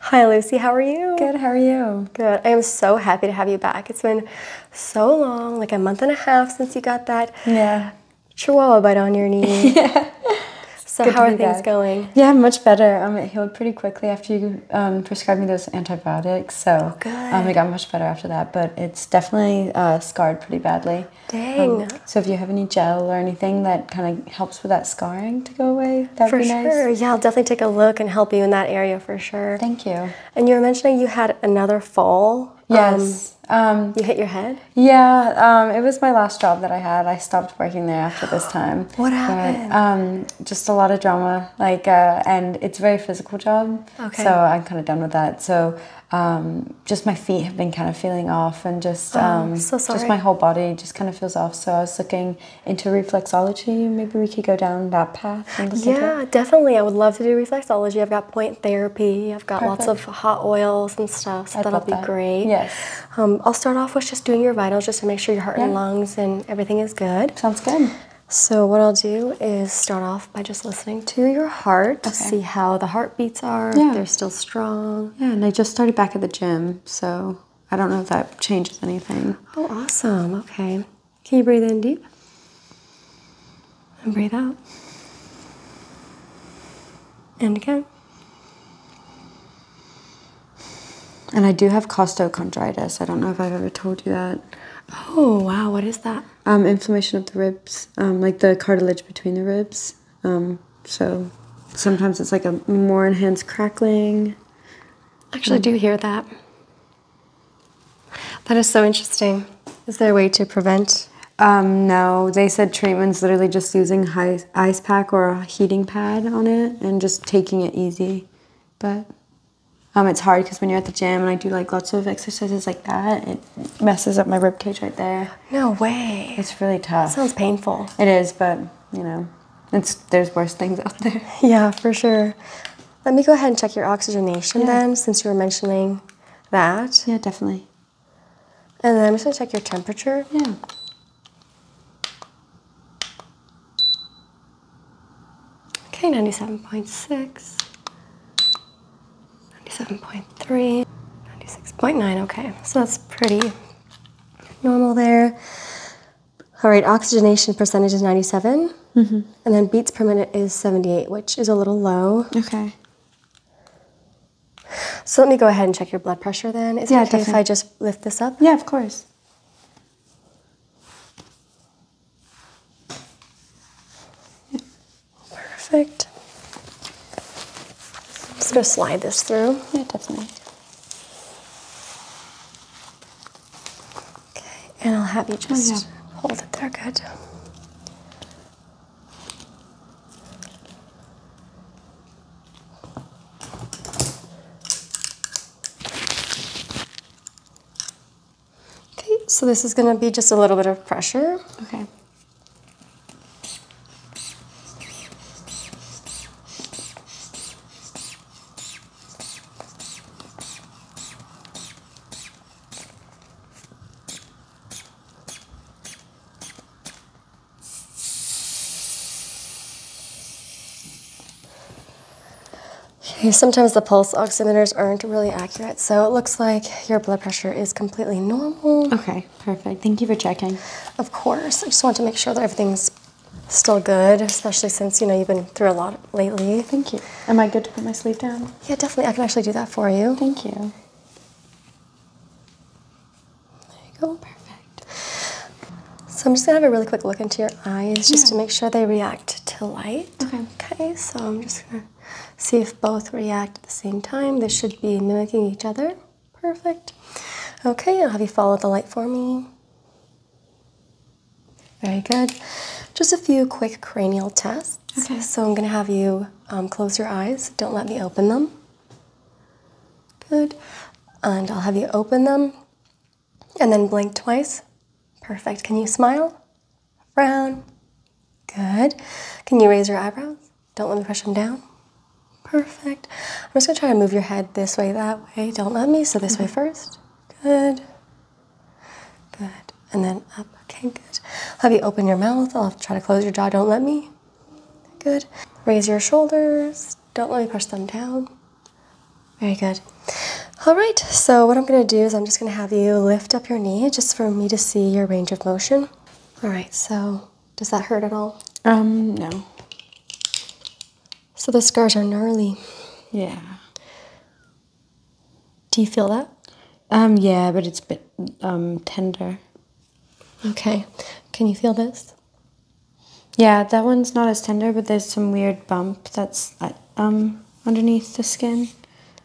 Hi, Lucy. How are you? Good. How are you? Good. I am so happy to have you back. It's been so long, like a month and a half since you got that yeah. chihuahua bite on your knee. yeah. So, how are things going? Yeah, much better. I'm um, healed pretty quickly after you um, prescribed me those antibiotics. So, oh, good. Um, it got much better after that, but it's definitely uh, scarred pretty badly. Um, Dang. so, if you have any gel or anything that kind of helps with that scarring, go away. for sure. Yeah, I'll definitely take a look and help you in that area for sure. Thank you. And you were mentioning you had another fall. Um, yes. Um, you hit your head? Yeah, um, it was my last job that I had. I stopped working there after this time. what happened? just a lot of drama, like, uh, and it's a very physical job. Okay. So I'm kind of done with that. So just my feet have been kind of feeling off, and just oh, just my whole body just kind of feels off. So I was looking into reflexology. Maybe we could go down that path. yeah, definitely. I would love to do reflexology. I've got point therapy. I've got lots of hot oils and stuff. I'd that'll be that. great. Yes. Um, I'll start off with just doing your vitals just to make sure your heart and lungs and everything is good. Sounds good. So what I'll do is start off by just listening to your heart to see how the heartbeats are, yeah. they're still strong. Yeah, and I just started back at the gym, so I don't know if that changes anything. Oh, awesome. Okay. Can you breathe in deep? And breathe out. And again. And I do have costochondritis. I don't know if I've ever told you that. Oh, wow. What is that? Um, inflammation of the ribs, um, like the cartilage between the ribs. Um, so sometimes it's like a more enhanced crackling actually do hear that. That is so interesting. Is there a way to prevent? Um, no, they said treatment's literally just using ice ice pack or a heating pad on it and just taking it easy. But um, it's hard because when you're at the gym and I do like lots of exercises like that, it messes up my rib cage right there. No way. It's really tough. sounds painful. It is, but you know. It's, there's worse things out there. Yeah, for sure. Let me go ahead and check your oxygenation then, since you were mentioning that. Yeah, definitely. And then I'm just gonna check your temperature. Yeah. Okay, 97.6, 97.3, 96.9. Okay, so that's pretty normal there. All right, oxygenation percentage is 97. Mm-hmm. And then beats per minute is 78, which is a little low. Okay. So let me go ahead and check your blood pressure then. Is yeah, if I just lift this up? Yeah, of course. Perfect. just gonna slide this through. Yeah, definitely. Okay, and I'll have you oh, just hold it there. Good. Okay, so this is going to be just a little bit of pressure. Okay. Sometimes the pulse oximeters aren't really accurate, so it looks like your blood pressure is completely normal. Okay, perfect. Thank you for checking. Of course. I just want to make sure that everything's still good, especially since you know you've been through a lot lately. Thank you. Am I good to put my sleeve down? Yeah, definitely. I can actually do that for you. Thank you. There you go. Perfect. So I'm just gonna have a really quick look into your eyes just to make sure they react to light. Okay. Okay. So I'm just gonna see if both react at the same time. They should be mimicking each other. Perfect. Okay. I'll have you follow the light for me. Very good. Just a few quick cranial tests. Okay. So I'm going to have you um, close your eyes. Don't let me open them. Good. And I'll have you open them and then blink twice. Perfect. Can you smile? Frown. Good. Can you raise your eyebrows? Don't let me push them down. Perfect. I'm just going to try to move your head this way, that that Don't let me. So this way mm-hmm. first. Good. Good. And then up. Okay, good. have you open your mouth. I'll try to close your jaw. Don't let me. Good. Raise your shoulders. Don't let me push them down. Very good. All right, so what I'm gonna do is I'm just gonna have you lift up your knee just for me to see your range of motion. All right, so does that hurt at all? Um, no. So the scars are gnarly. Yeah. Do you feel that? Um, yeah, but it's a bit um, tender. Okay. Can you feel this? Yeah, that one's not as tender, but there's some weird bump that's um, underneath the skin.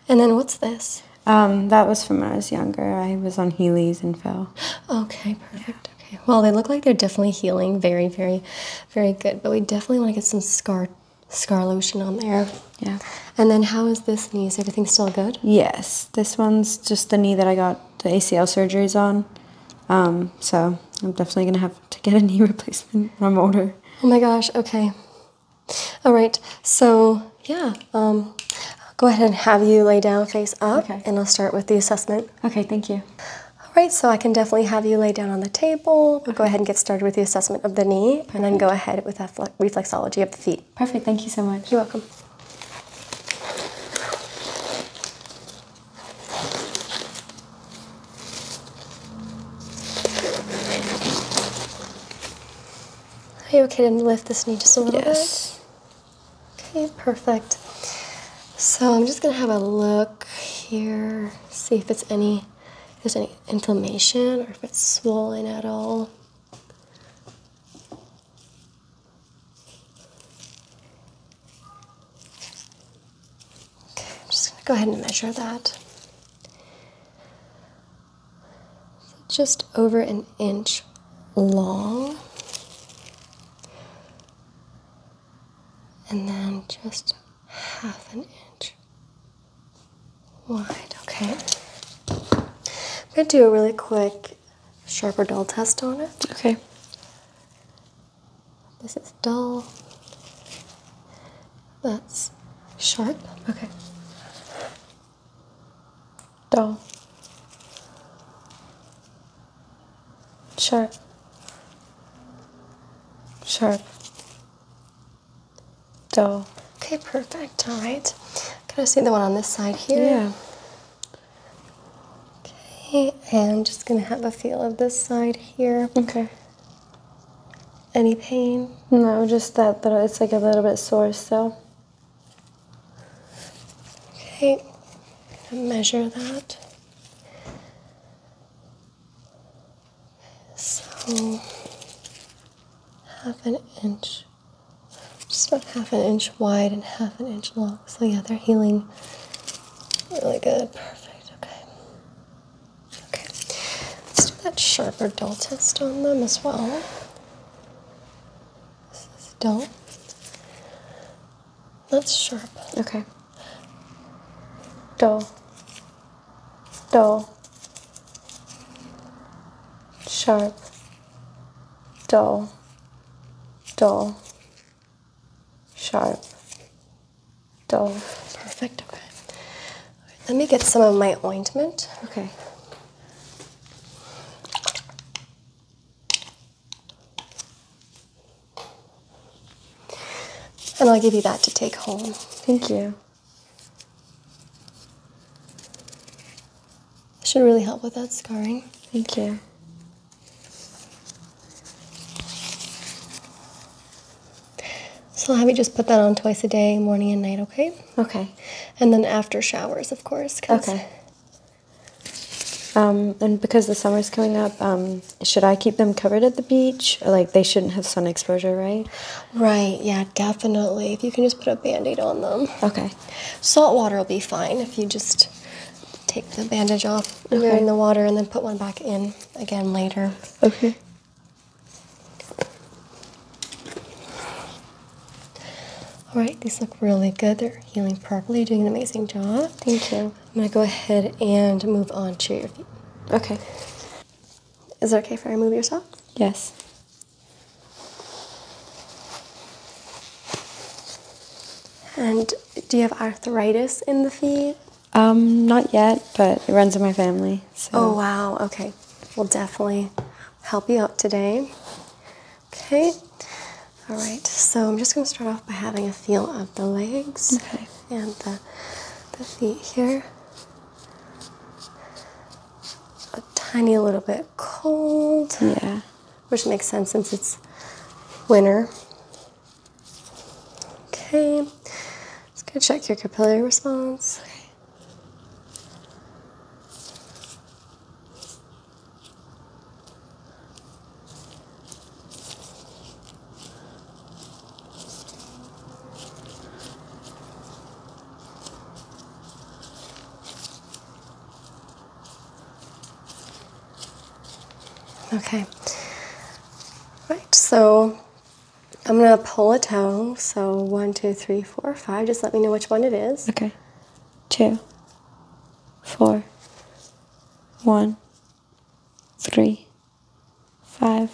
And then what's this? Um, that was from when I was younger. I was on Heelys and fell. Okay, perfect. Okay, well, they look like they're definitely healing. Very, very, very good. But we definitely want to get some scar scar lotion on there. Yeah. And then how is this knee? Is everything still good? Yes. This one's just the knee that I got the ACL surgeries on. Um, so I'm definitely going to have to get a knee replacement when I'm older. Oh my gosh, okay. All right, so yeah, um, I'll go ahead and have you lay down face up, and I'll start with the assessment. Okay, thank you. All right, so I can definitely have you lay down on the table. We'll go ahead and get started with the assessment of the knee and then go ahead with reflexology of the feet. Perfect, thank you so much. You're welcome. Are you okay to lift this knee just a little bit? Yes. Okay, perfect. So I'm just gonna have a look here, see if it's any there's any inflammation or if it's swollen at all. Okay, just gonna go ahead and measure that. just over an inch long and then just half an inch wide, okay? I'm gonna do a really quick sharper dull test on it. Okay. This is dull. That's sharp. Okay. Dull sharp, sharp, dull. Okay, perfect. All right. Can I see the one on this side here? Yeah. Okay, and just gonna have a feel of this side here. Okay. Any pain? No, just that little, it's like a little bit sore still. Okay, measure that. So half an inch, just about half an inch wide and half an inch long. So yeah, they're healing really good. Perfect. Okay. Okay. Let's do that sharp or dull test on them as well. This is dull. That's sharp. Okay. Dull. Dull. sharp, Dull. Dull. sharp, Dull. Perfect, okay. let me get some of my ointment. Okay. And I'll give you that to take home. Thank you. It should really help with that scarring. Thank you. So I'll have you just put that on twice a day, morning and night, okay? Okay. And then after showers, of course. Okay. Um, and because the summer's coming up, um, should I keep them covered at the beach? like, they shouldn't have sun exposure, right? Right, yeah, definitely. If you can just put a band aid on them. Okay. Salt water will be fine if you just take the bandage off okay. you're in the water and then put one back in again later. Okay. All right, these look really good. They're healing properly. You're doing an amazing job. Thank you. I'm gonna go ahead and move on to your feet. Okay. Is it okay if I remove yourself? Yes. And do you have arthritis in the feet? Um, not yet, but it runs in my family. Oh wow, okay. We'll definitely help you out today. Okay. All right, so I'm just gonna start off by having a feel of the legs. Okay and the, the feet here. A tiny little bit cold. Yeah. Which makes sense since it's winter. Okay. Let's go check your capillary response. Okay. Right, so I'm gonna pull a toe. So one, two, three, four, five. Just let me know which one it is. Okay. Two, four, one, three, five,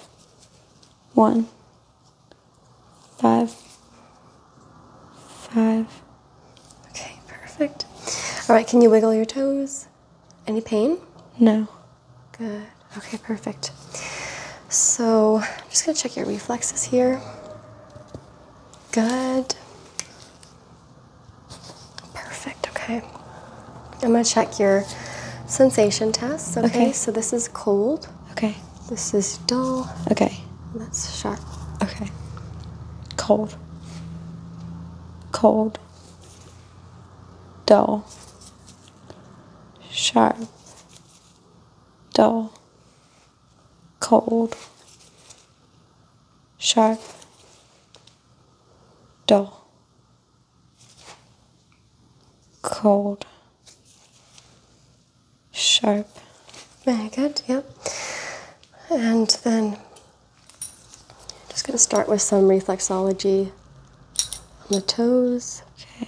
one, five, five. Okay, perfect. All right, can you wiggle your toes? Any pain? No. Good. Okay, perfect. So I'm just gonna check your reflexes here. Good. Perfect, okay. I'm gonna check your sensation tests, okay? So this is cold. Okay. This is dull. Okay. That's sharp. Okay. Cold. Cold. Dull. Sharp. Dull. Cold. Sharp. Dull cold, sharp. Very good, yep. And then just going to start with some reflexology on the toes. Okay.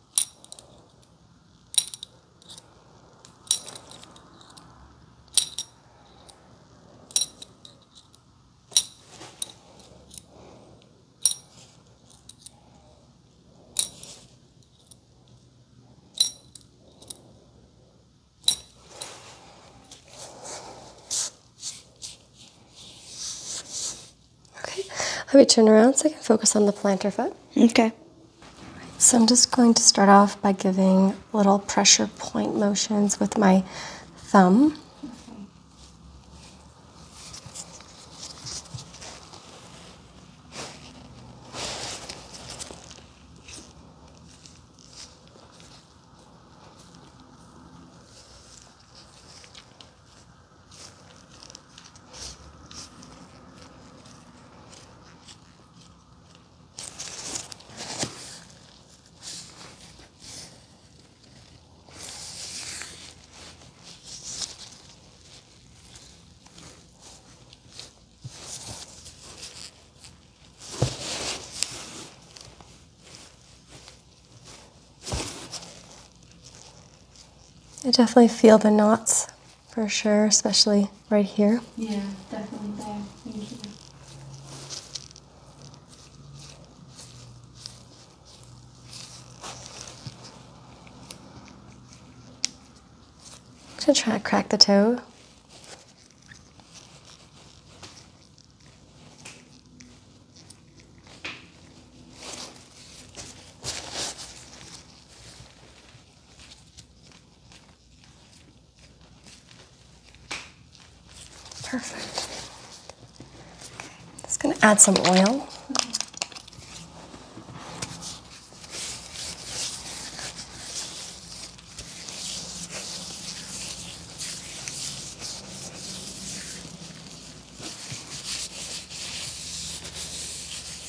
Okay, let me turn around so I can focus on the plantar foot. Okay. So I'm just going to start off by giving little pressure point motions with my thumb. I definitely feel the knots for sure, especially right here. Yeah, definitely there. Thank you. i try to crack the toe. Perfect. Okay, just going to add some oil.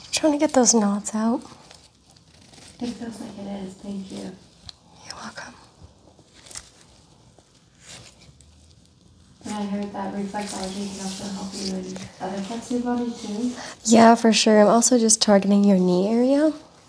I'm trying to get those knots out. It feels like it is. Thank you. You're welcome. And I heard that reflexology can also help you in other parts of your body too. Yeah, for sure. I'm also just targeting your knee area.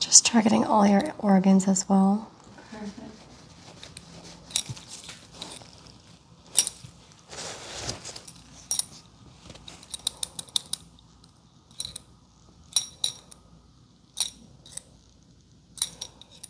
Just targeting all your organs as well. Perfect.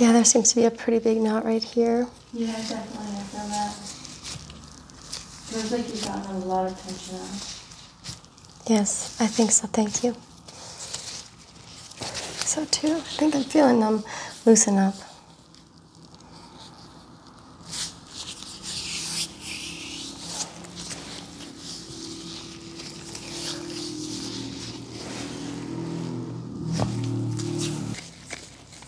Yeah, there seems to be a pretty big knot right here. Yeah, definitely. I feel that. It Feels like you've gotten a lot of tension on Yes, I think so. Thank you. So too. I think I'm feeling them um, loosen up.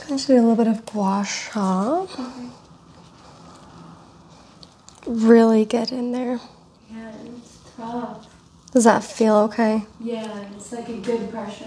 I'm just going to do a little bit of gua sha. Really get in there. Yeah, it's tough. Does that feel okay? Yeah, it's like a good pressure.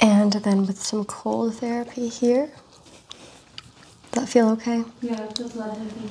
And then with some cold therapy here. Does that feel okay? Yeah, it feels lovely,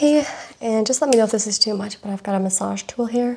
Okay, and just let me know if this is too much, but I've got a massage tool here.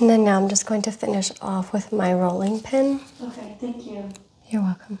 And then now I'm just going to finish off with my rolling pin. Okay, thank you. You're welcome.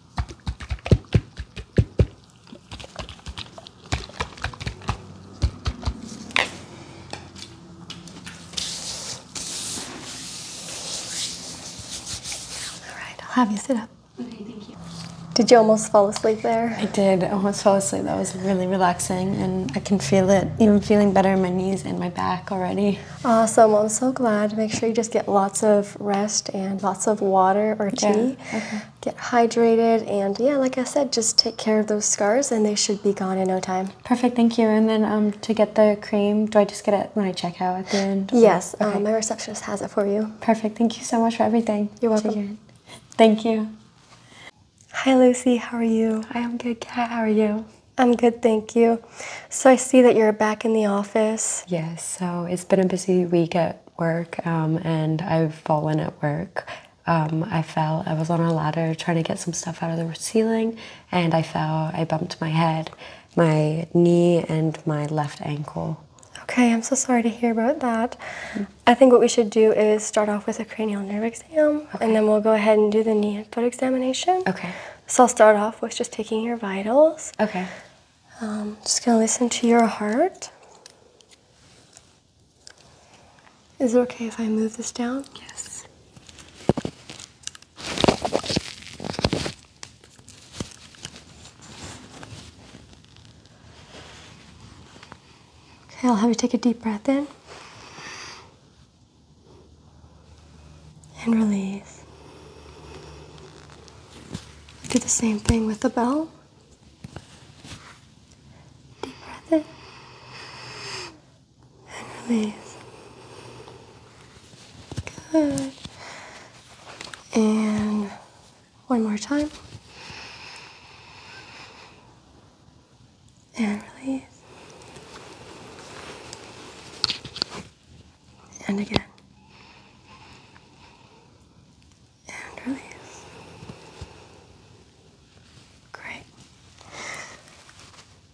All right, I'll have you sit up. Okay, thank you. Did you almost fall asleep there? I did. almost fall asleep. That was really relaxing, and I can feel it, even feeling better in my knees and my back already. Awesome. I'm so glad. Make sure you just get lots of rest and lots of water or tea. Okay get hydrated, and yeah, like I said, just take care of those scars and they should be gone in no time. Perfect, thank you. And then um, to get the cream, do I just get it when I check out at the end? Yes, uh, my receptionist has it for you. Perfect, thank you so much for everything. You're welcome. Thank you. Hi, Lucy, how are you? I am good, Kat, how are you? I'm good, thank you. So I see that you're back in the office. Yes, so it's been a busy week work um, and I've fallen at work. Um, I fell. I was on a ladder trying to get some stuff out of the ceiling and I fell. I bumped my head, my knee, and my left ankle. Okay, I'm so sorry to hear about that. I think what we should do is start off with a cranial nerve exam and then we'll go ahead and do the knee and foot examination. Okay. So I'll start off with just taking your vitals. Okay. Um, just gonna listen to your heart. Is it okay if I move this down? Yes. Okay, I'll have you take a deep breath in and release. Do the same thing with the bell. Deep breath in and release. Good. And one more time. And release. And again and release. Great.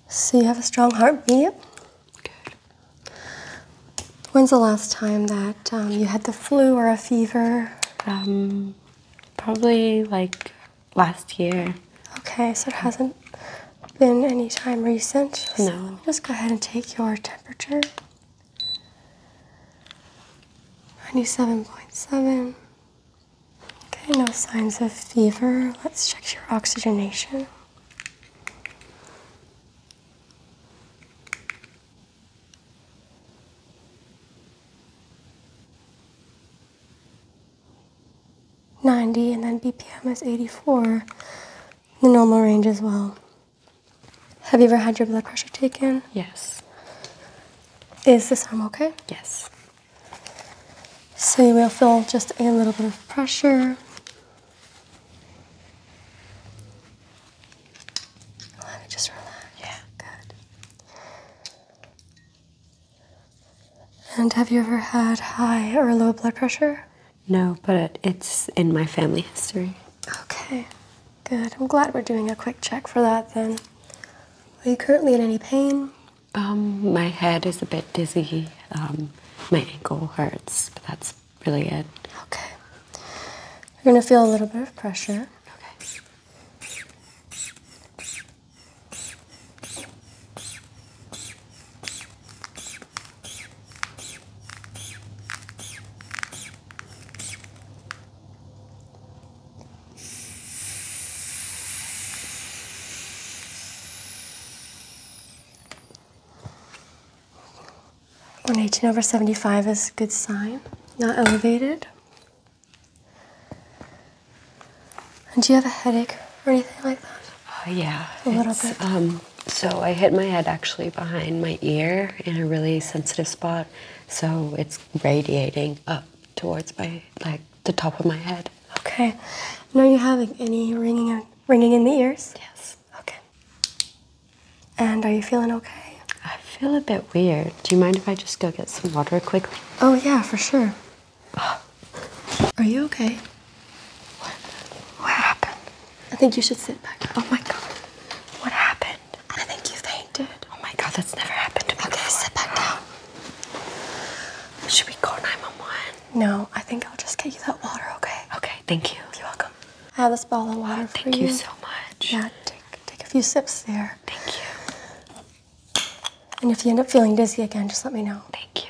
So you have a strong heartbeat. Good. When's the last time that um, you had the flu or a fever? Um, probably like last year. Okay, so it hasn't been any time recent. no. just go ahead and take your temperature. 97.7. Okay, no signs of fever. Let's check your oxygenation. Ninety and then BPM is eighty four, the normal range as well. Have you ever had your blood pressure taken? Yes. Is this arm okay? Yes. So you will feel just a little bit of pressure. just relax. Yeah. Good. And have you ever had high or low blood pressure? No, but it's in my family history. Okay. Good. I'm glad we're doing a quick check for that then. Are you currently in any pain? Um, my head is a bit dizzy. Um, my ankle hurts, but that's really it. Okay. You're gonna feel a little bit of pressure. Okay. 118 over 75 is a good sign, not elevated. And do you have a headache or anything like that? Uh, yeah. A little bit? Um, so I hit my head actually behind my ear in a really sensitive spot so it's radiating up towards my, like, the top of my head. Okay. No, you having any ringing, in, ringing in the ears? Yes. Okay. And are you feeling okay? I feel a bit weird. Do you mind if I just go get some water quickly? Oh, yeah, for sure. Are you okay? What happened? I think you should sit back. Oh my god. What happened? I think you fainted. Oh my god, that's never happened to me. Okay, sit back down. Should we call 911? No, I think I'll just get you that water, okay? Okay, thank you. You're welcome. I have this bottle of water Thank you so much. Yeah, take, take a few sips there. Thank you. And if you end up feeling dizzy again, just let me know. Thank you.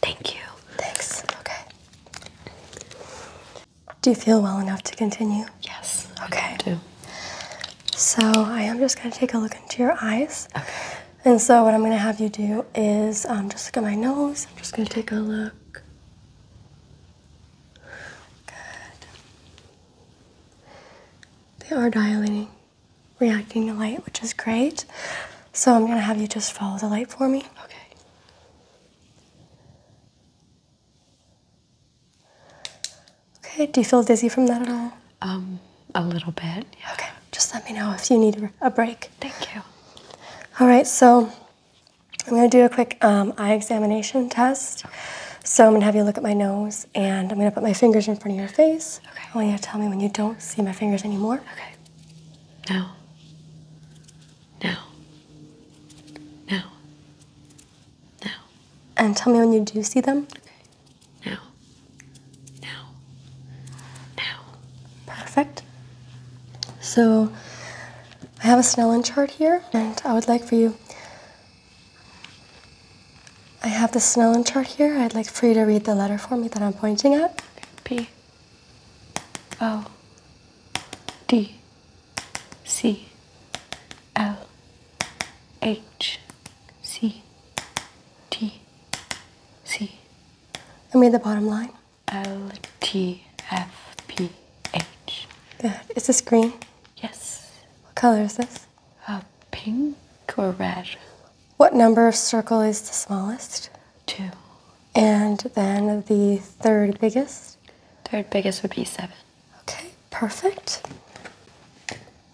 Thank you. Thanks. Okay. Do you feel well enough to continue? Yes. Okay. I do. So I am just going to take a look into your eyes. Okay. And so what I'm going to have you do is um, just look at my nose. I'm just going to take a look. Good. They are dilating reacting to light, which is great. So I'm gonna have you just follow the light for me. Okay. Okay, do you feel dizzy from that at all? Um, a little bit. Okay, just let me know if you need a break. Thank you. All right, so I'm gonna do a quick um, eye examination test. So I'm gonna have you look at my nose and I'm gonna put my fingers in front of your face. Okay. I want you to tell me when you don't see my fingers anymore. Okay. Now. Now. Now. Now. And tell me when you do see them. Okay. Now. Now. Now. Perfect. So I have a Snellen chart here, and I would like for you. I have the Snellen chart here. I'd like for you to read the letter for me that I'm pointing at. P O D C L H C T C. I made the bottom line. L T F P H. Good. Is this green? Yes. What color is this? Uh, pink or red? What number of circle is the smallest? Two. And then the third biggest? Third biggest would be seven. Okay, perfect.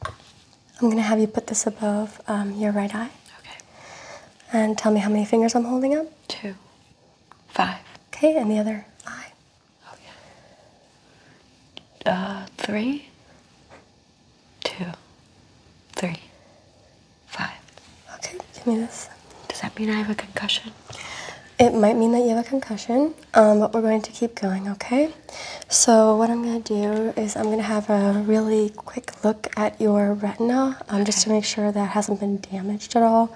I'm gonna have you put this above um, your right eye. Okay. And tell me how many fingers I'm holding up? Two. Five. Okay, and the other eye? Okay. Uh, three two, three, five. Okay, give me this. Does that mean I have a concussion? It might mean that you have a concussion, um, but we're going to keep going, okay? So what I'm going to do is I'm going to have a really quick look at your retina um, just to make sure that hasn't been damaged at all.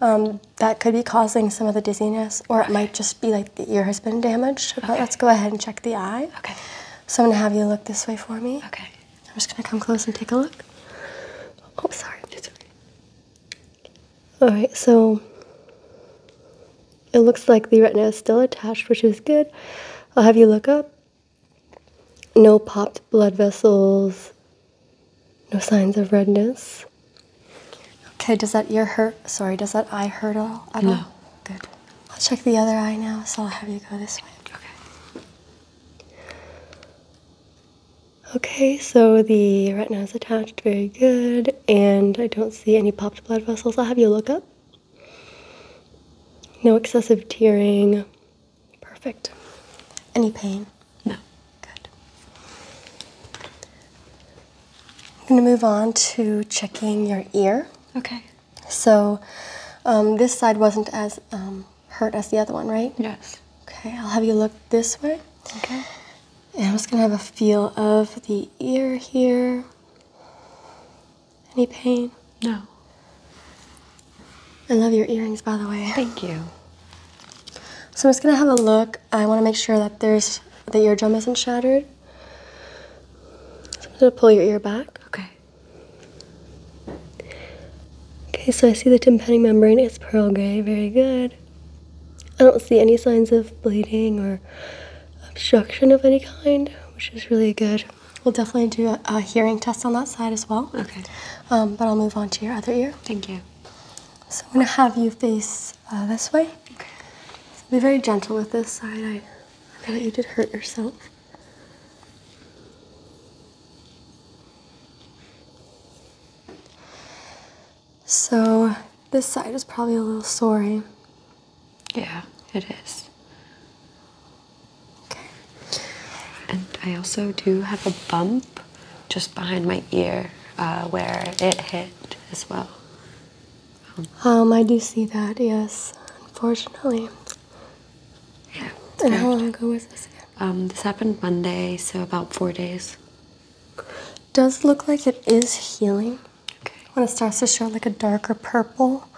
Um, that could be causing some of the dizziness, or it might just be like the ear has been damaged. But let's go ahead and check the eye. Okay. So I'm going to have you look this way for me. Okay. I'm just gonna come close and take a look. Oh, sorry. Alright, so it looks like the retina is still attached, which is good. I'll have you look up. No popped blood vessels, no signs of redness. Okay, does that ear hurt? Sorry, does that eye hurt at all? no. Good. I'll check the other eye now, so I'll have you go this way. Okay. Okay, so the retina is attached, very good, and I don't see any popped blood vessels. I'll have you look up. No excessive tearing. Perfect. Any pain? No. Good. I'm going to move on to checking your ear. Okay. So um, this side wasn't as um, hurt as the other one, right? Yes. Okay, I'll have you look this way. Okay. And I'm just gonna have a feel of the ear here. Any pain? No. I love your earrings, by the way. Thank you. So I'm just gonna have a look. I wanna make sure that there's the eardrum isn't shattered. I'm gonna pull your ear back. Okay. Okay, so I see the tympanic membrane is pearl gray. Very good. I don't see any signs of bleeding or obstruction of any kind, which is really good. We'll definitely do a, hearing test on that side as well. Okay. Um, but I'll move on to your other ear. Thank you. So I'm going to have you face uh, this way. Okay. be very gentle with this side. I, I know you did hurt yourself. So this side is probably a little sore. Eh? Yeah, it is. Okay. And I also do have a bump just behind my ear uh, where it hit as well. um, I do see that. Yes, unfortunately. Yeah. how long ago was this? Um, this happened Monday, so about four days. Does look like it is healing. Okay. When it starts to show like a darker purple,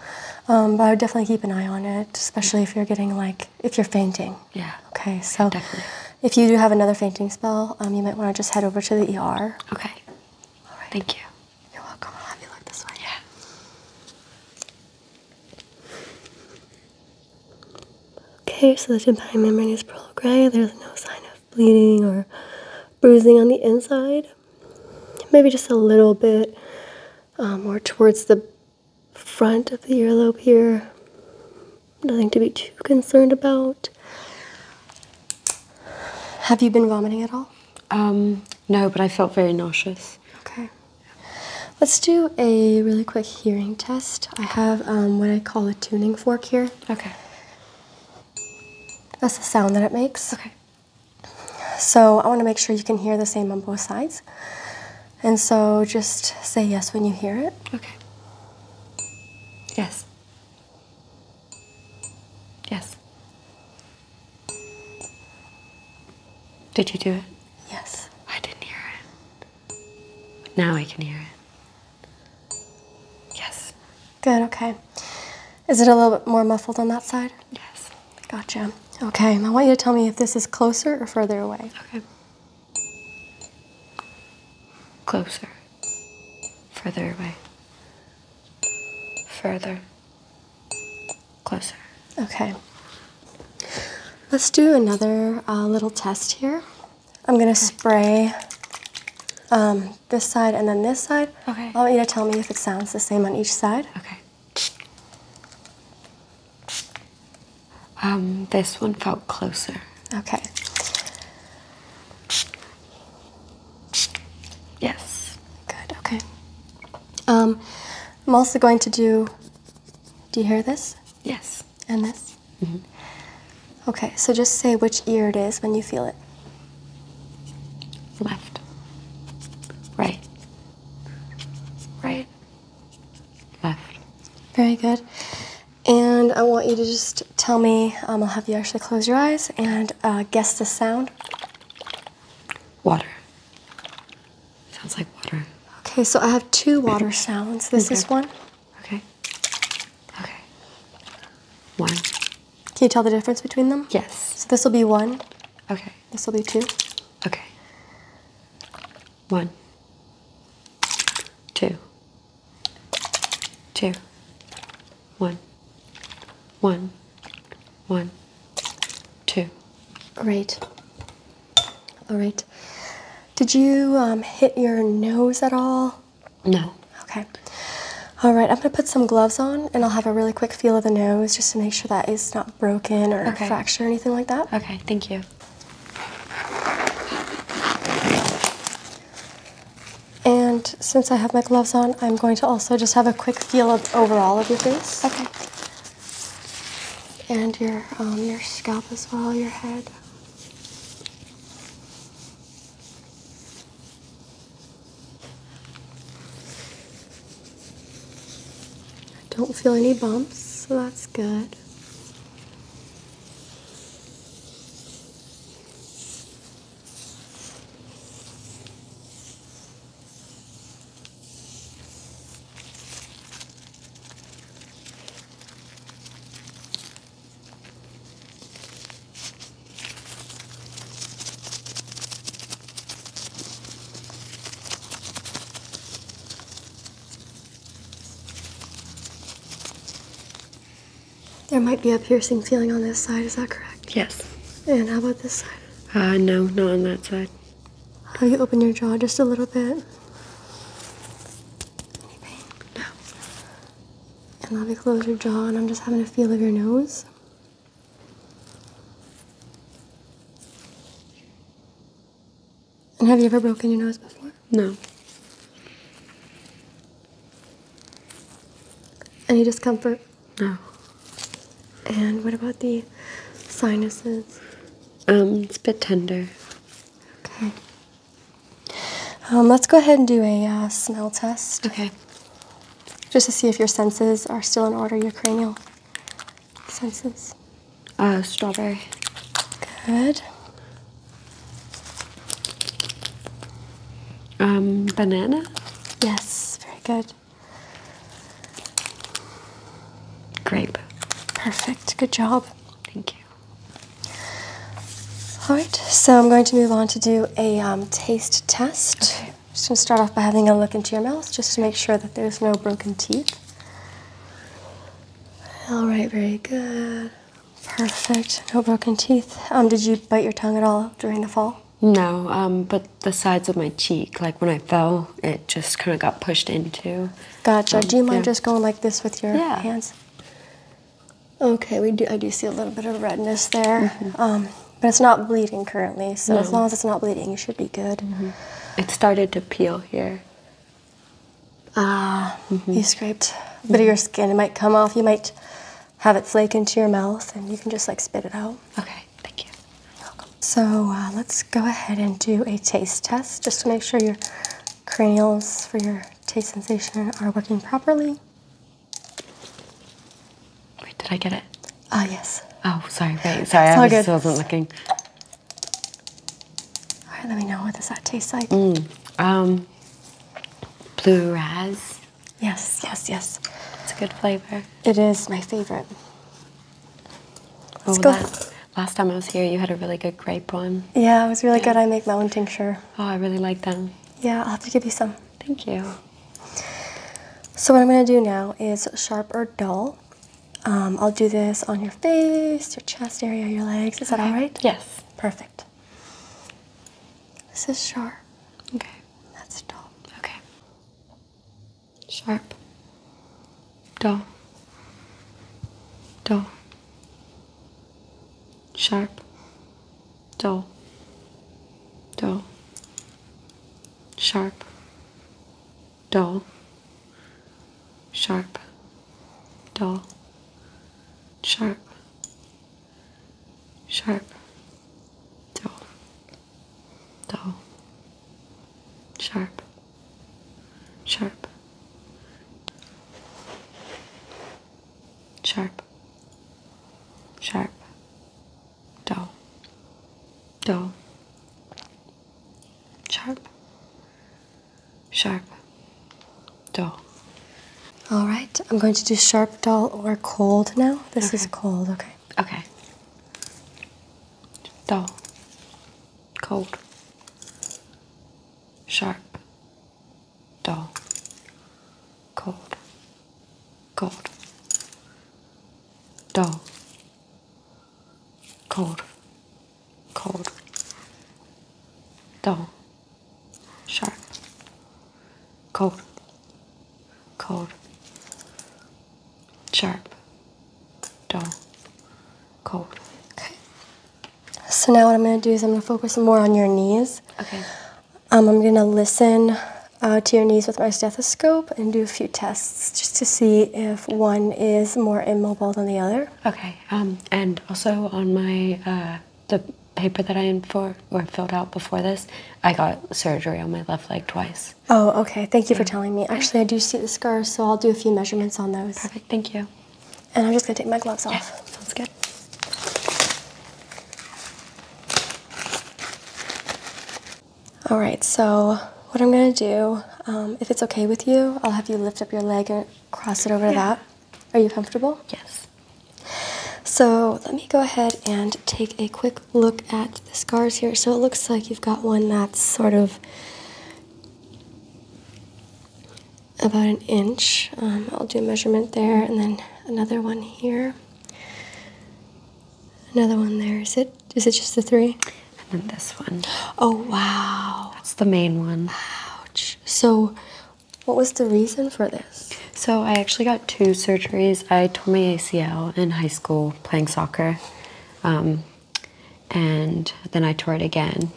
um, but I would definitely keep an eye on it, especially if you're getting like if you're fainting. Yeah. Okay. So. Definitely. If you do have another fainting spell, um, you might want to just head over to the ER. Okay. All right. Thank you. You're welcome. I'll have you look this one. Yeah. Okay, so the tympanic membrane is pearl gray. There's no sign of bleeding or bruising on the inside. Maybe just a little bit um, more towards the front of the earlobe here. Nothing to be too concerned about. Have you been vomiting at all? Um, no, but I felt very nauseous. Okay. Let's do a really quick hearing test. I have um, what I call a tuning fork here. Okay. That's the sound that it makes. Okay. So I want to make sure you can hear the same on both sides. And so just say yes when you hear it. Okay. Yes. Yes. Did you do it? Yes. I didn't hear it. now I can hear it. Yes. Good, okay. Is it a little bit more muffled on that side? Yes. Gotcha. Okay, I want you to tell me if this is closer or further away. Okay. Closer. Further away. Further closer. Okay. Let's do another uh, little test here. I'm gonna spray um, this side and then this side. Okay. I want you to tell me if it sounds the same on each side. Okay. Um, this one felt closer. Okay. Yes. Good, okay. Um, I'm also going to do do you hear this? Yes. And this? Mm-hmm. Okay, so just say which ear it is when you feel it. Left. Right. Right. Left. Very good. And I want you to just tell me, um, I'll have you actually close your eyes and uh, guess the sound. Water. Sounds like water. Okay, so I have two water sounds. This okay. is one. Okay. Okay. One. Can you tell the difference between them? Yes. So this will be one. Okay. This will be two. Okay. One. Two. Two. One. One. One. Two. Great. All right. Did you um, hit your nose at all? No. Okay. All right, I'm gonna put some gloves on and I'll have a really quick feel of the nose just to make sure that it's not broken or okay. fractured or anything like that. Okay, thank you. And since I have my gloves on, I'm going to also just have a quick feel of overall of your face. Okay and your um, your scalp as well, your head. I don't feel any bumps, so that's good. There might be a piercing feeling on this side, is that correct? Yes. And how about this side? Uh, no, not on that side. How you open your jaw just a little bit. Any pain? No. And now you close your jaw, and I'm just having a feel of your nose. And have you ever broken your nose before? No. Any discomfort? No. And what about the sinuses? Um, it's a bit tender. Okay. Um, let's go ahead and do a uh, smell test. Okay. Just to see if your senses are still in order, your cranial senses. Uh, strawberry. Good. Um, banana? Yes, very good good. Grape. Perfect. Good job. Thank you. Alright, so I'm going to move on to do a um, taste test. Just going to start off by having a look into your mouth just to make sure that there's no broken teeth. Alright, very good. Perfect. No broken teeth. Um, did you bite your tongue at all during the fall? No, um, but the sides of my cheek, like when I fell, it just kind of got pushed into. Gotcha. Um, do you mind just going like this with your hands? Okay, we do. I do see a little bit of redness there, mm-hmm. um, but it's not bleeding currently. So as long as it's not bleeding, you should be good. Mm-hmm. It started to peel here. Ah, mm-hmm. you scraped a bit of your skin. It might come off. You might have it flake into your mouth, and you can just like spit it out. Okay, thank you. So uh, let's go ahead and do a taste test just to make sure your cranials for your taste sensation are working properly. did I get it? Ah, yes. Oh, sorry, wait, sorry, I just good. wasn't looking. All right, let me know, what does that taste like? Mm, um, blue raz. Yes, yes, yes. It's a good flavor. It is my favorite. Let's oh, go. Last time I was here, you had a really good grape one. Yeah, it was really good. I make my own tincture. Oh, I really like them. Yeah, I'll have to give you some. Thank you. So what I'm going to do now is sharp or dull. Um, I'll do this on your face, your chest area, your legs. Is that all right? Yes. Perfect. This is sharp. Okay. That's dull. Okay. Sharp. Dull. Dull. Sharp. Dull. Dull. Sharp. Dull. Sharp. Dull. Sharp. Sharp. Dull. Dull. Sharp. Sharp. Sharp. Sharp. Dull. Dull. Sharp. Sharp. Dull. All right, I'm going to do sharp, dull, or cold now. This is cold, okay. Okay. Dull cold, sharp, dull, cold, cold, dull, cold, cold, dull, sharp, cold, cold, sharp, dull, cold. Okay. So now what I'm going to do is I'm going to focus more on your knees. Okay. Um, I'm going to listen uh, to your knees with my stethoscope and do a few tests just to see if one is more immobile than the other. Okay. Um, and also on my uh, the paper that I in for or filled out before this, I got surgery on my left leg twice. Oh, okay. Thank you for telling me. Actually, I do see the scars, so I'll do a few measurements on those. Perfect. Thank you. And I'm just going to take my gloves off. sounds good. All right, so what I'm going to do, um, if it's okay with you, I'll have you lift up your leg and cross it over that. Are you comfortable? Yes. So let me go ahead and take a quick look at the scars here. So it looks like you've got one that's sort of about an inch. Um, I'll do a measurement there and then another one here. Another one there. Is it? Is it just the three? And then this one. Oh wow! That's the main one. Ouch. So, what was the reason for this? So I actually got two surgeries. I tore my ACL in high school playing soccer. Um, and then I tore it again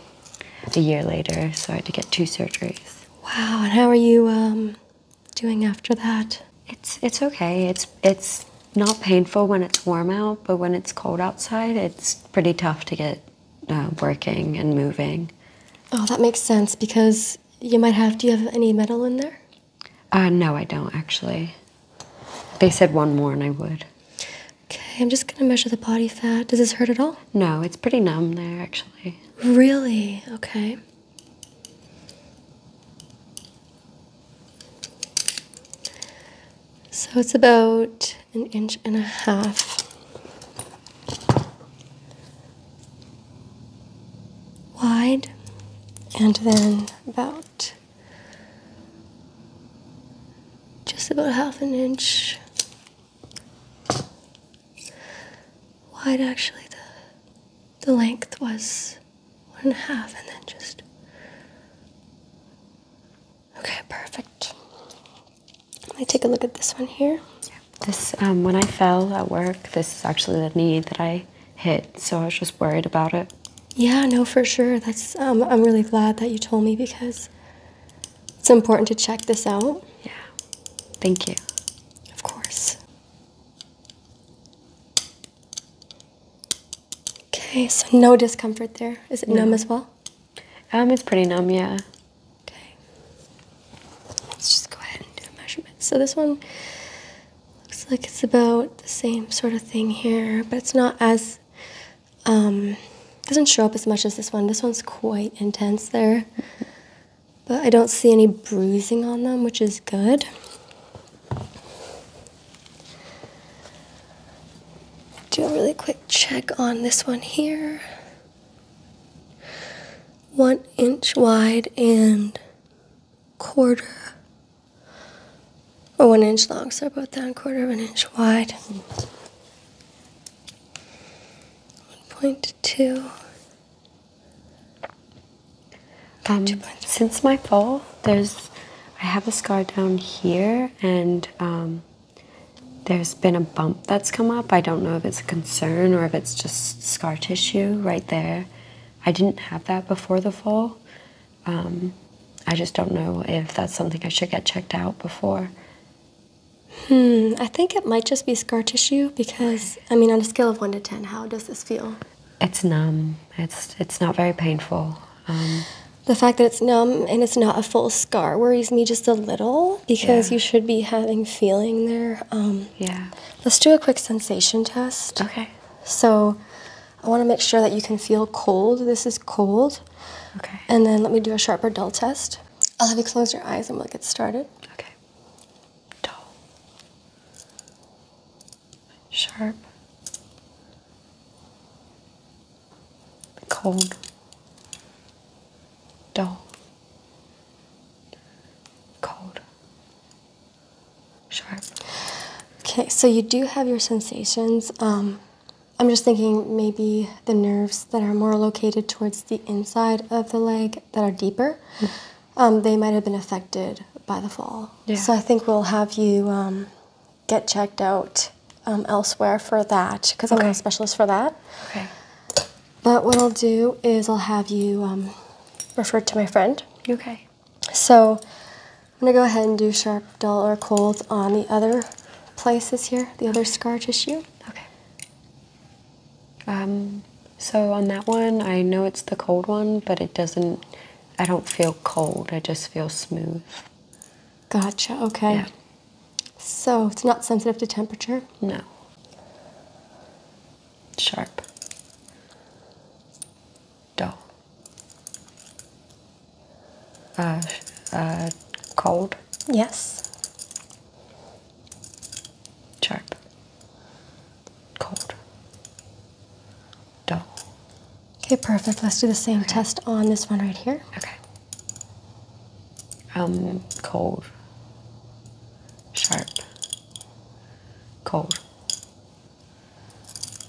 a year later, so I had to get two surgeries. Wow, and how are you um, doing after that? It's it's okay. It's it's not painful when it's warm out, but when it's cold outside, it's pretty tough to get uh, working and moving. Oh, that makes sense because you might have. Do you have any metal in there? Uh, no, I don't actually. They said one more, and I would. Okay, I'm just gonna measure the body fat. Does this hurt at all? No, it's pretty numb there actually. Really? Okay. So it's about an inch and a half. Wide, and then about just about half an inch wide actually the the length was one and a half and then just okay perfect let me take a look at this one here this um, when i fell at work this is actually the knee that i hit so i was just worried about it yeah, no, for sure. That's um, I'm really glad that you told me because it's important to check this out. Yeah. Thank you. Of course. Okay, so no discomfort there. Is it numb as well? Um, it's pretty numb, yeah. Okay. Let's just go ahead and do a So this one looks like it's about the same sort of thing here, but it's not as um, doesn't show up as much as this one. This one's quite intense there. But I don't see any bruising on them, which is good. Do a really quick check on this one here. One inch wide and quarter or oh, one inch long, so about that quarter of an inch wide. 1.2. Um, since my fall, there's I have a scar down here, and um, there's been a bump that's come up. I don't know if it's a concern or if it's just scar tissue right there. I didn't have that before the fall, um, I just don't know if that's something I should get checked out before. Hmm, I think it might just be scar tissue because, I mean, on a scale of 1 to 10, how does this feel? It's numb. It's, it's not very painful. Um, the fact that it's numb and it's not a full scar worries me just a little because you should be having feeling there. Um, yeah. Let's do a quick sensation test. Okay. So I want to make sure that you can feel cold. This is cold. Okay. And then let me do a sharper dull test. I'll have you close your eyes and we'll get started. Okay. Dull. Sharp. Cold. Dull. Cold. Sharp. Okay, so you do have your sensations. Um, I'm just thinking maybe the nerves that are more located towards the inside of the leg that are deeper, um, they might have been affected by the fall. So I think we'll have you um, get checked out um, elsewhere for that because I'm not a specialist for that. Okay. But what I'll do is I'll have you referred to my friend. Okay. So I'm gonna go ahead and do sharp, dull, or cold on the other places here, the other scar tissue. Okay. Um, so on that one, I know it's the cold one, but it doesn't, I don't feel cold. I just feel smooth. Gotcha, okay. Yeah. So it's not sensitive to temperature? No. Sharp. Dull. Uh, uh, cold? Yes. Sharp. Cold. Dull. Okay, perfect. Let's do the same test on this one right here. Okay. Um, cold. Sharp. Cold.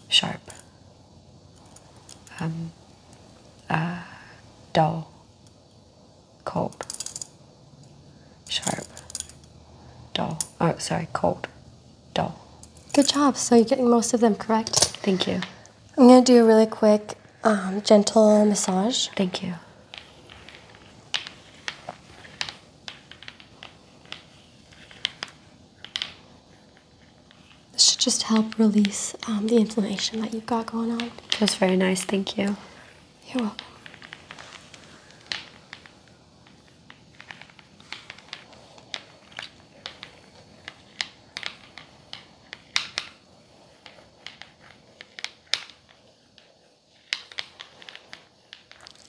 Sharp. Um, uh, dull, cold, sharp, dull. Oh, sorry, cold, dull. Good job. So you're getting most of them correct. Thank you. I'm going to do a really quick, um, gentle massage. Thank you. This should just help release um, the inflammation that you've got going on. It That's very nice, thank you. You're welcome.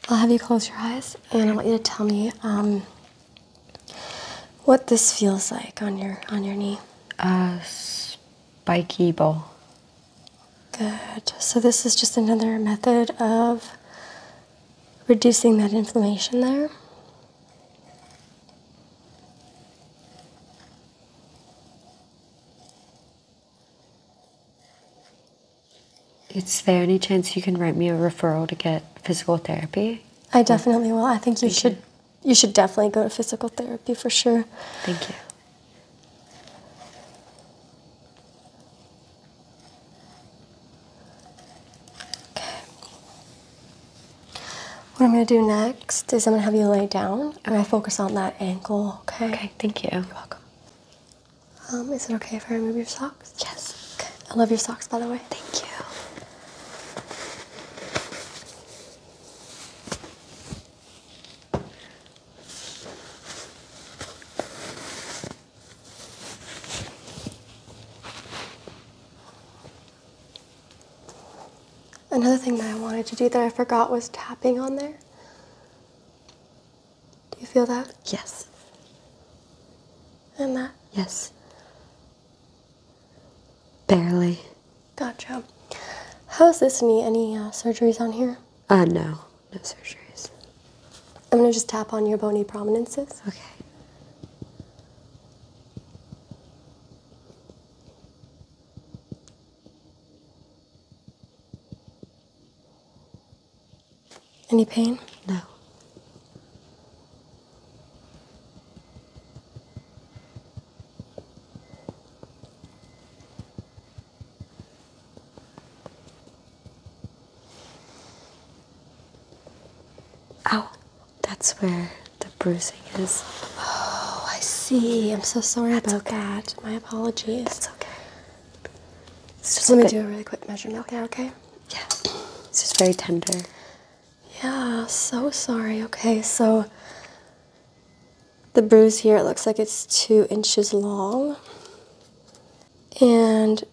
I'll have you close your eyes and I want you to tell me um, what this feels like on your on your knee? Uh, spiky ball. Good. So this is just another method of reducing that inflammation there. Is there any chance you can write me a referral to get physical therapy? I definitely will. I think you should you should definitely go to physical therapy for sure. Thank you. What I'm going to do next is I'm going to have you lay down and I focus on that ankle, okay? Okay, thank you. You're welcome. Um, is it okay if I remove your socks? Yes. Okay. I love your socks, by the way. Thank you. Another thing that I wanted to do that I forgot was tapping on there. Do you feel that? Yes. And that? Yes. Barely. Gotcha. How's this knee? Any uh, surgeries on here? Uh, no. No surgeries. I'm going to just tap on your bony prominences. Okay. Any pain? No. Ow, oh, that's where the bruising is. Oh, I see. I'm so sorry about that. My apologies. It's okay. let me do a really quick measurement there, okay? Yeah. It's just very tender. Yeah, so sorry. Okay, so the bruise here, it looks like it's two inches long and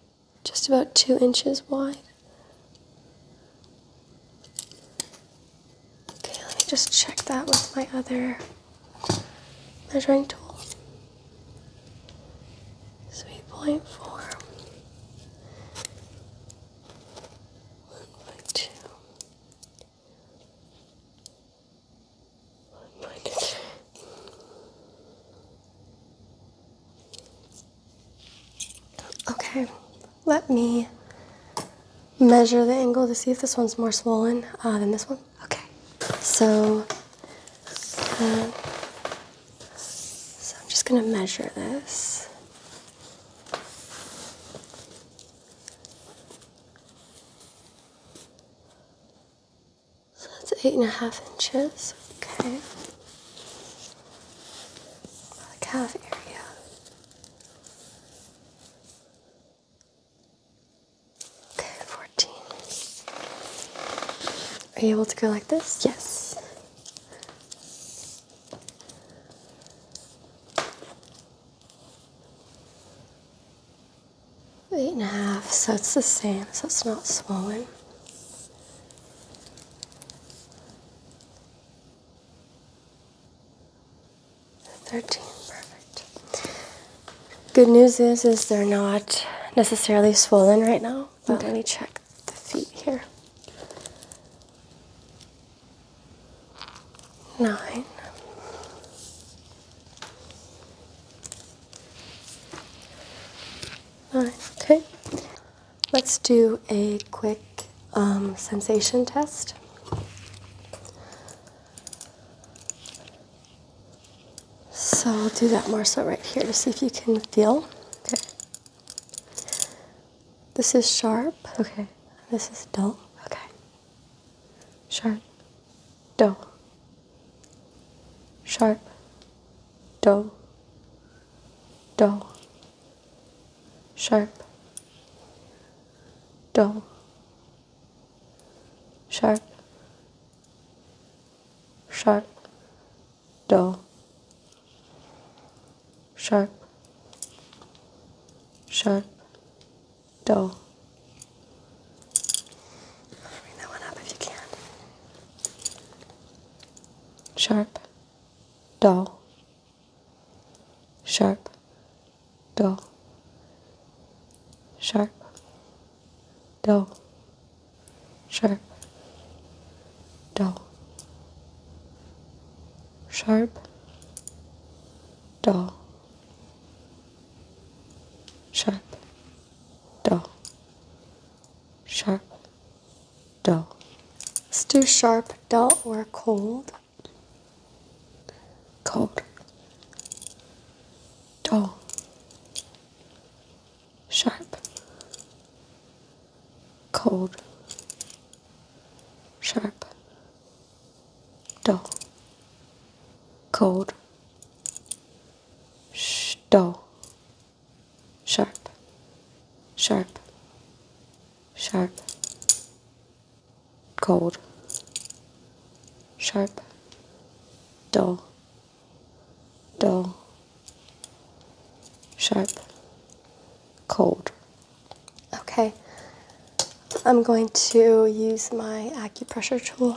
just about two inches wide. Okay, let me just check that with my other measuring tool. Three point four one one by Okay, let me measure the angle to see if this one's more swollen uh, than this one. Okay, so. Uh, so I'm just going to measure this. So that's eight and a half inches. Okay. calf area. Okay, 14. Are you able to go like this? Yes. Eight and a half, so it's the same, so it's not swollen. Thirteen, perfect. Good news is, is they're not necessarily swollen right now, let me check the feet here. Nine. Nine. Okay. Let's do a quick um, sensation test. So I'll do that more so right here to see if you can feel. Okay. This is sharp. Okay. This is dull. Okay. Sharp. Dull. Sharp. Dull. Dull. Sharp. Dull. Sharp. Sharp. Dull sharp, sharp, dull. Bring that one up if you can. Sharp, dull, sharp, dull, sharp, dull, sharp, dull, sharp, dull, sharp, dull, sharp, dull. Let's sharp, dull, or cold. Cold, dull, sharp, cold sharp, dull, cold, dull, sharp, sharp, sharp, cold, sharp, dull, dull, sharp, cold. Okay, I'm going to use my acupressure tool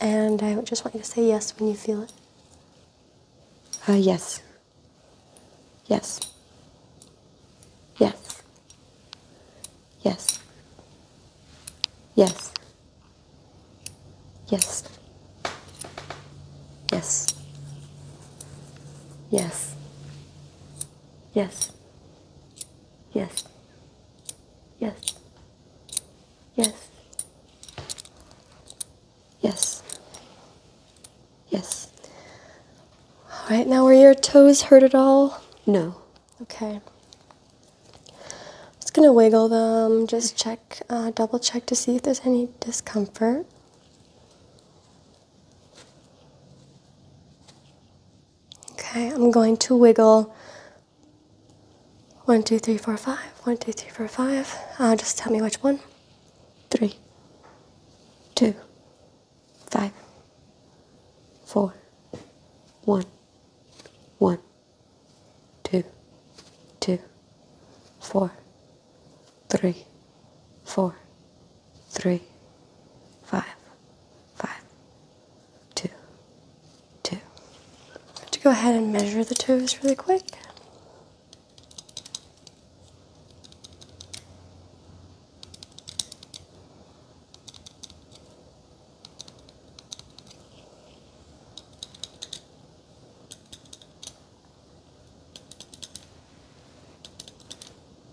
and I just want you to say yes when you feel it. Uh, yes. Yes. Yes. Yes. Yes. Yes. Yes. Yes. Yes. Yes. Yes. Yes. Yes. All right, now are your toes hurt at all? No. Okay. Just gonna wiggle them, just check, uh, double check to see if there's any discomfort. Okay, I'm going to wiggle one, two, three, four, five. One, two, three, four, five. Uh, just tell me which one. Three, two, five, four, one, one, two, two, four, three, four, three, five, five, two, two. to go ahead and measure the toes really quick.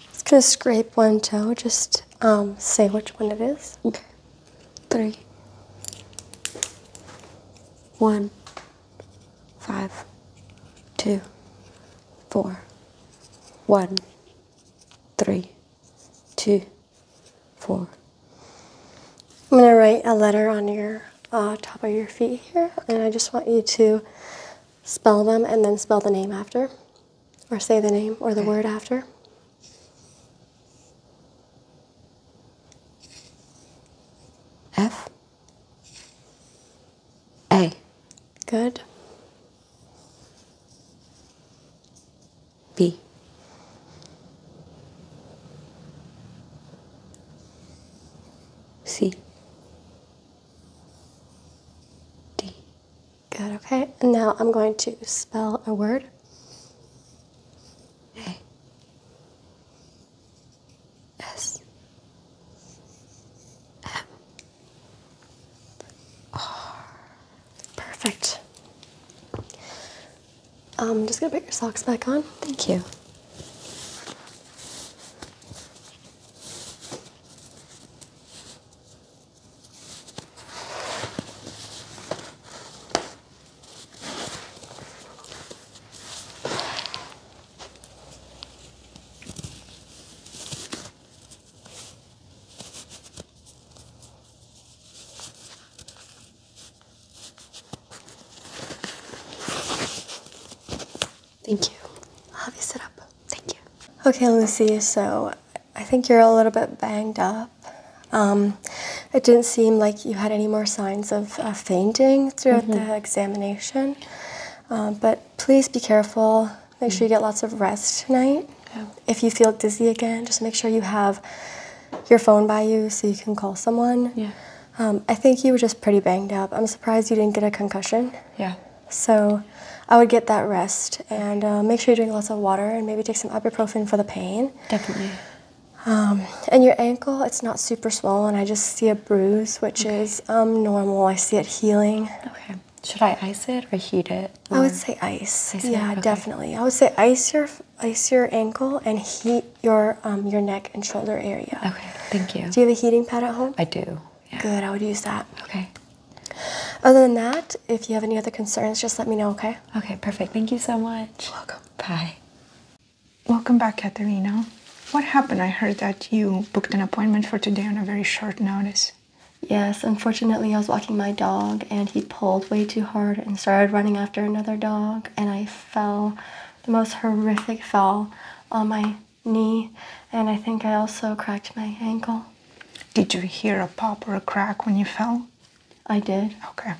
just gonna scrape one toe. Just um, say which one it is. Okay. Three. Four. I'm gonna write a letter on your uh, top of your feet here, and I just want you to spell them and then spell the name after or say the name or the word after. F A. Good. B. C. D. Good, okay. now I'm going to spell a word. A S M R. Perfect. I'm um, just gonna put your socks back on. Thank you. Thank you. I'll have you sit up. Thank you. Okay, Lucy, so I think you're a little bit banged up. Um, it didn't seem like you had any more signs of fainting throughout the mm-hmm. examination. Um, but please be careful. Make sure you get lots of rest tonight. If you feel dizzy again, just make sure you have your phone by you so you can call someone. Yeah. Um, I think you were just pretty banged up. I'm surprised you didn't get a concussion. Yeah. So I would get that rest and uh, make sure you drink lots of water and maybe take some ibuprofen for the pain. Definitely. Um, and your ankle, it's not super swollen. I just see a bruise, which is um, normal. I see it healing. Okay. Should I ice it or heat it? I would say ice. yeah, definitely. I would say ice your ice your ankle and heat your um, your neck and shoulder area. Okay. Thank you. Do you have a heating pad at home? I do. Good, I would use that. Okay. Other than that, if you have any other concerns, just let me know, okay? Okay, perfect. Thank you so much. Welcome. Bye. Welcome back, Katerina. What happened? I heard that you booked an appointment for today on a very short notice. Yes, unfortunately, I was walking my dog and he pulled way too hard and started running after another dog, and I fell the most horrific fall on my knee, and I think I also cracked my ankle. Did you hear a pop or a crack when you fell? I did. Okay.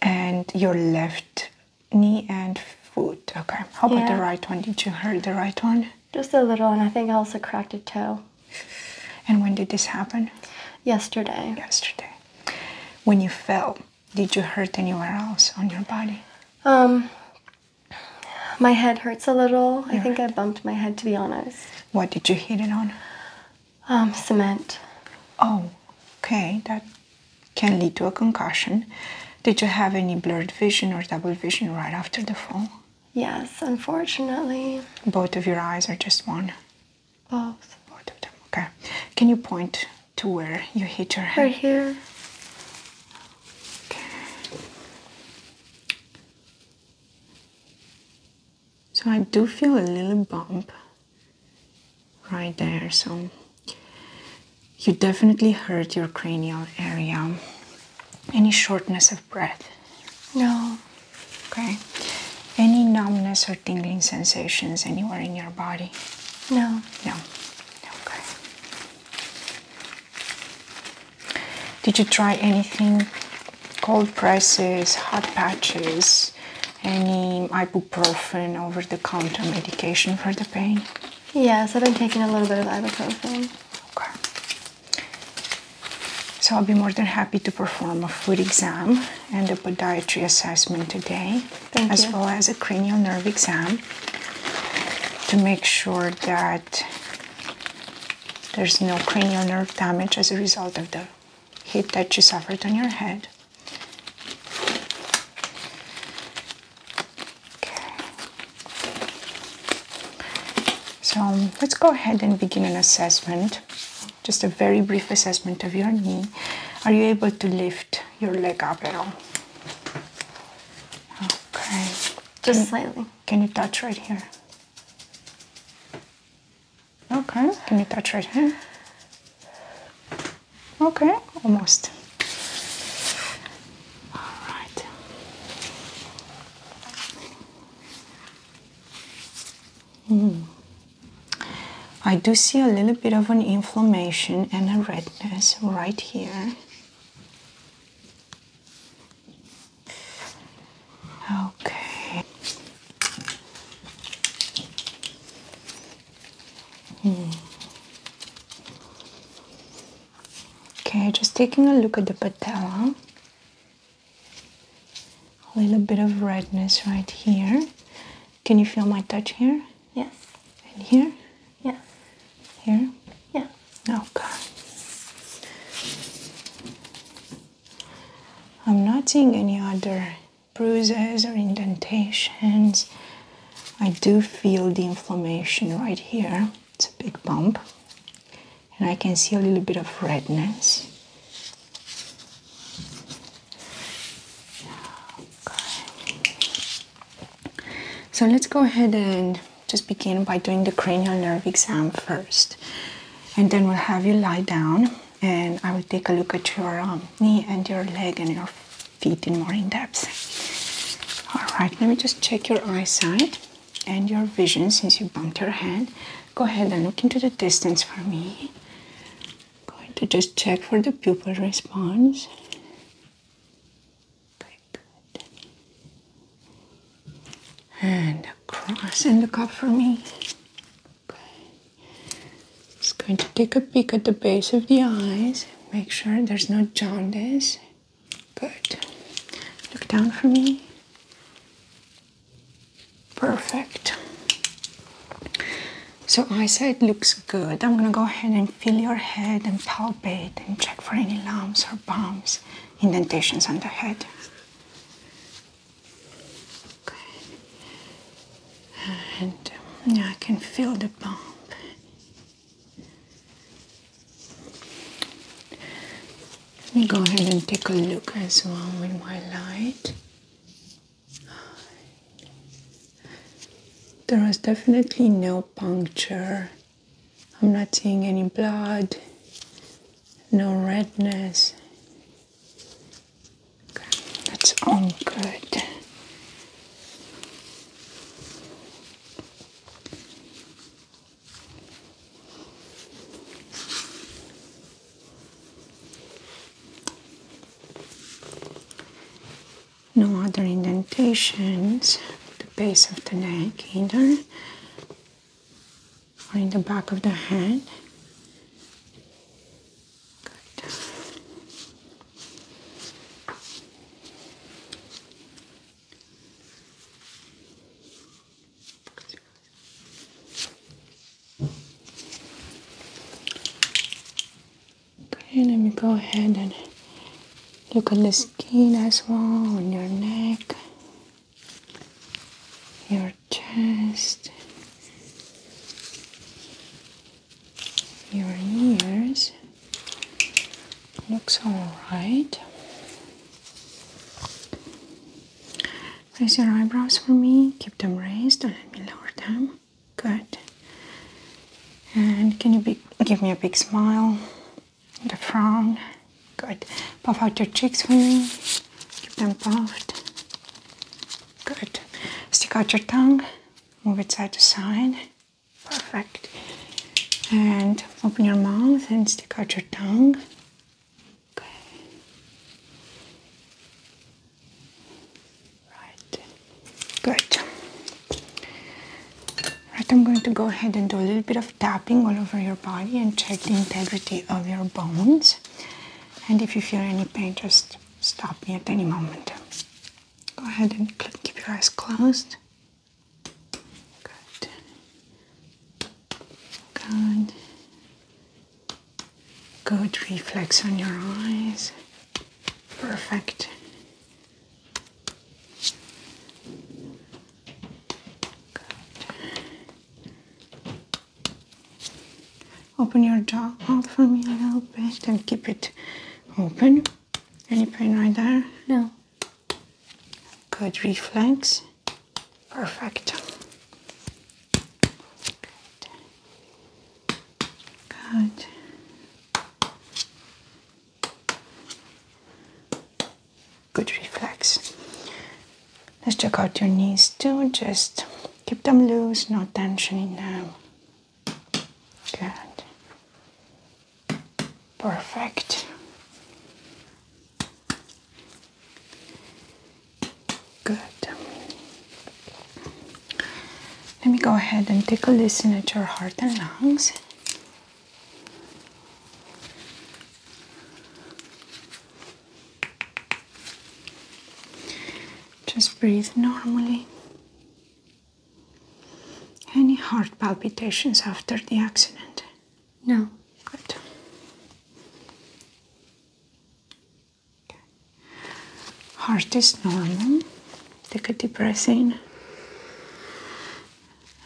And your left knee and foot. Okay. How about the right one? Did you hurt the right one? Just a little, and I think I also cracked a toe. And when did this happen? Yesterday. Yesterday. When you fell, did you hurt anywhere else on your body? Um, my head hurts a little. I think I bumped my head, to be honest. What did you hit it on? Um, cement. Oh, okay. That can lead to a concussion. Did you have any blurred vision or double vision right after the fall? Yes, unfortunately. Both of your eyes are just one? Both. Both of them, okay. Can you point to where you hit your head? Right here. Okay. So I do feel a little bump right there. So you definitely hurt your cranial area. Any shortness of breath? No. Okay. Any numbness or tingling sensations anywhere in your body? No. No. Okay. Did you try anything? Cold presses, hot patches, any ibuprofen over the counter medication for the pain? Yes, I've been taking a little bit of ibuprofen. Okay. So I'll be more than happy to perform a foot exam and a podiatry assessment today, as well as a cranial nerve exam to make sure that there's no cranial nerve damage as a result of the hit that you suffered on your head. Okay. So let's go ahead and begin an assessment. Just a very brief assessment of your knee. Are you able to lift your leg up at all? Okay. Just slightly. Can you touch right here? Okay, Can you touch right here. Okay, almost. All right. Mm. I do see a little bit of an inflammation and a redness right here. Okay. Hmm. Okay, just taking a look at the patella. A little bit of redness right here. Can you feel my touch here? Yes. And here? Yeah. Here? Yeah. Okay. I'm not seeing any other bruises or indentations. I do feel the inflammation right here. It's a big bump. And I can see a little bit of redness. So let's go ahead and just begin by doing the cranial nerve exam first. And then we'll have you lie down and I will take a look at your um, knee and your leg and your feet in more in depth. All right, let me just check your eyesight and your vision since you bumped your head. Go ahead and look into the distance for me. going to just check for the pupil response. good and across and a cup for me. Okay. Just going to take a peek at the base of the eyes. Make sure there's no jaundice. Good. Look down for me. Perfect. So I say it looks good. I'm gonna go ahead and feel your head and palpate and check for any lumps or bumps, indentations on the head. Okay. And uh, yeah, I can feel the bump. Let me go ahead and take a look as well with my light. There is definitely no puncture. I'm not seeing any blood no redness. that's all good. No other indentations the base of the neck either or in the back of the hand. Good. Okay, let me go ahead and look at the skin as well on your neck your chest, your ears. Looks alright. Raise your eyebrows for me, keep them raised, Don't let me lower them. Good. And can you be, give me a big smile and a frown? Good. Puff out your cheeks for me. Keep them puffed. Good. Stick out your tongue. Move it side to side. Perfect. And open your mouth and stick out your tongue. Okay. Right. Good. Right, I'm going to go ahead and do a little bit. of tapping all over your body and check the integrity of your bones. And if you feel any pain, just stop me at any moment. Go ahead and keep your eyes closed. Good. Good. Good reflex on your eyes. Perfect. Open your jaw out for me a little bit and keep it open. Any pain right there? No. Good reflex. Perfect. Good good reflex. Let's check out your knees too. Just keep them loose, no tension in them. Good. Perfect. Good. Let me go ahead and take a listen at your heart and lungs. Just breathe normally. Any heart palpitations after the accident? No. Good. Heart is normal. Take a deep breath in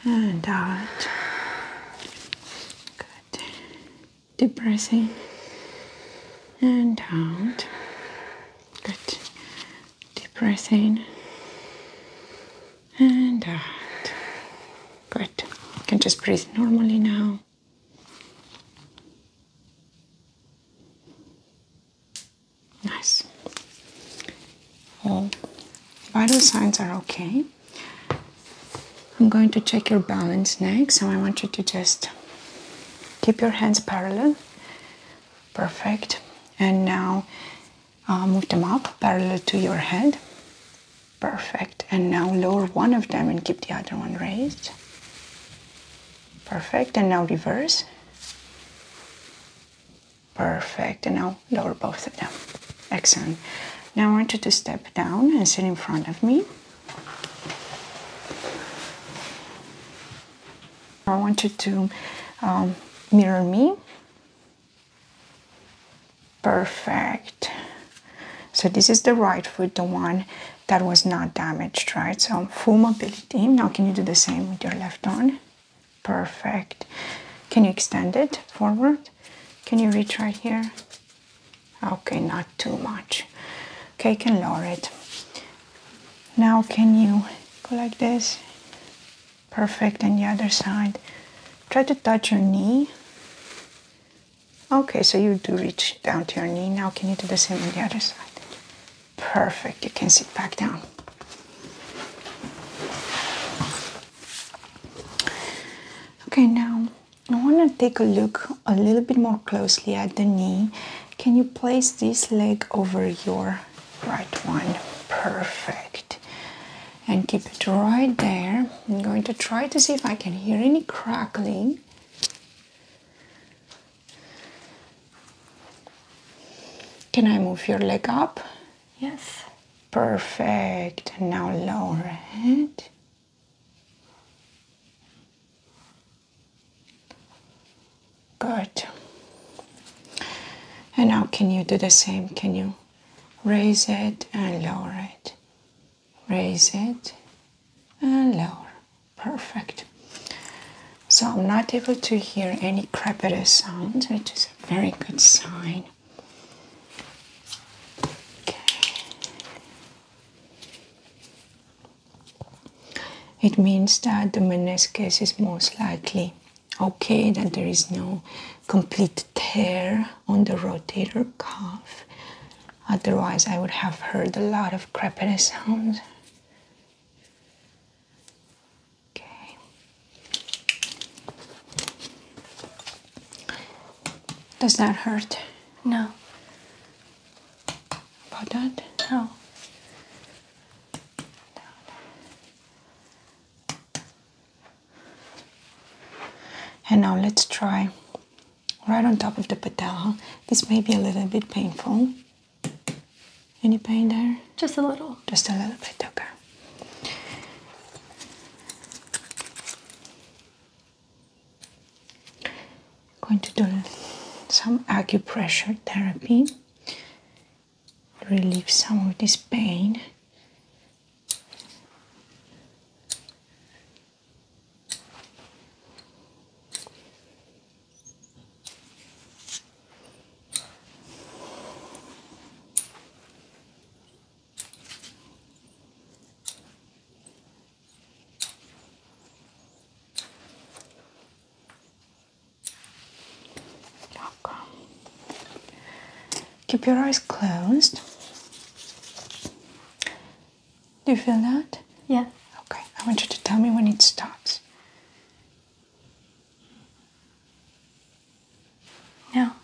and out. Good. Depressing and out. Good. Deep and out. Good. You can just breathe normally now. Nice. All vital signs are okay. I'm going to check your balance next, so I want you to just keep your hands parallel. Perfect. And now uh, move them up parallel to your head. Perfect. And now lower one of them and keep the other one raised. Perfect. And now reverse. Perfect. And now lower both of them. Excellent. Now I want you to step down and sit in front of me. I want you to um, mirror me. Perfect. So this is the right foot, the one that was not damaged, right? So full mobility. Now can you do the same with your left arm? Perfect. Can you extend it forward? Can you reach right here? Okay, not too much. Okay, can lower it. Now can you go like this? Perfect, and the other side. Try to touch your knee. Okay, so you do reach down to your knee. Now can you do the same on the other side? Perfect, you can sit back down. Okay, now I want to take a look a little bit more closely at the knee. Can you place this leg over your right one? Perfect. And keep it right there. I'm going to try to see if I can hear any crackling. Can I move your leg up? Yes. Perfect. Now lower it. Good. And now can you do the same? Can you raise it and lower it? Raise it and lower. Perfect. So I'm not able to hear any crepitus sounds, which is a very good sign. It means that the meniscus is most likely okay, that there is no complete tear on the rotator cuff. Otherwise, I would have heard a lot of crepitus sounds. Does that hurt? No. About that? No. And now let's try right on top of the petal. This may be a little bit painful. Any pain there? Just a little. Just a little bit, okay. I'm going to do some acupressure therapy relieve some of this pain. Okay. Keep your eyes closed. Do you feel that? Yeah. Okay, I want you to tell me when it stops. Now.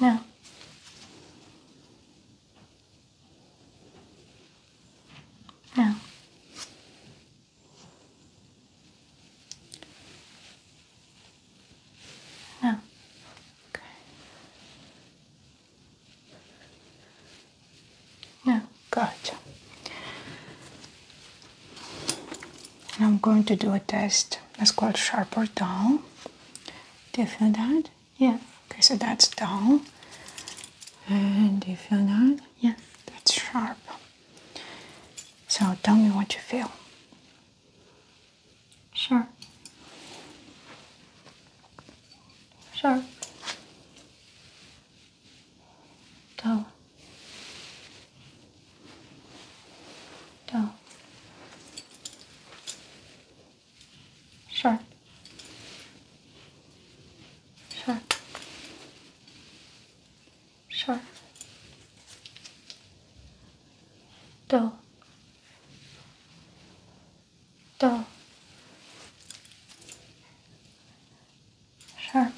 No. No. No. Okay. No. Gotcha and I'm going to do a test that's called sharp or dull. Do you feel that? Yeah. Okay, so that's dull. And do you feel that? Yeah. That's sharp. So tell me what you feel. Sure. Sure. Dull dull, Sure. sharp, sharp, Do. dull, Sure.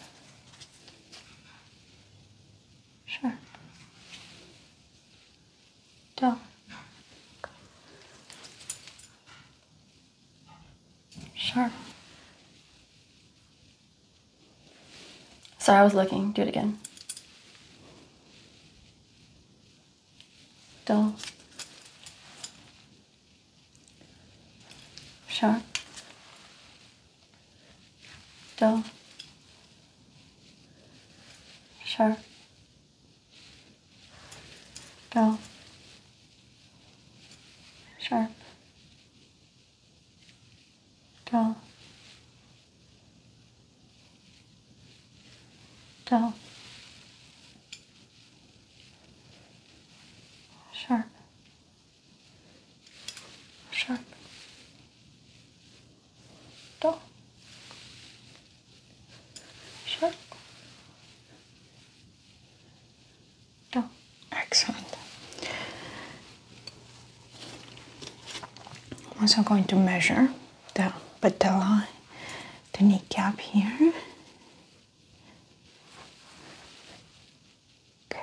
Sure. dull, sharp. Sorry, I was looking. Do it again. Dull. Sure dull, sharp, dull, sharp, dull, dull, sharp, sharp, dog, shark, dog. Excellent. I'm also going to measure the patella, the kneecap here. Okay.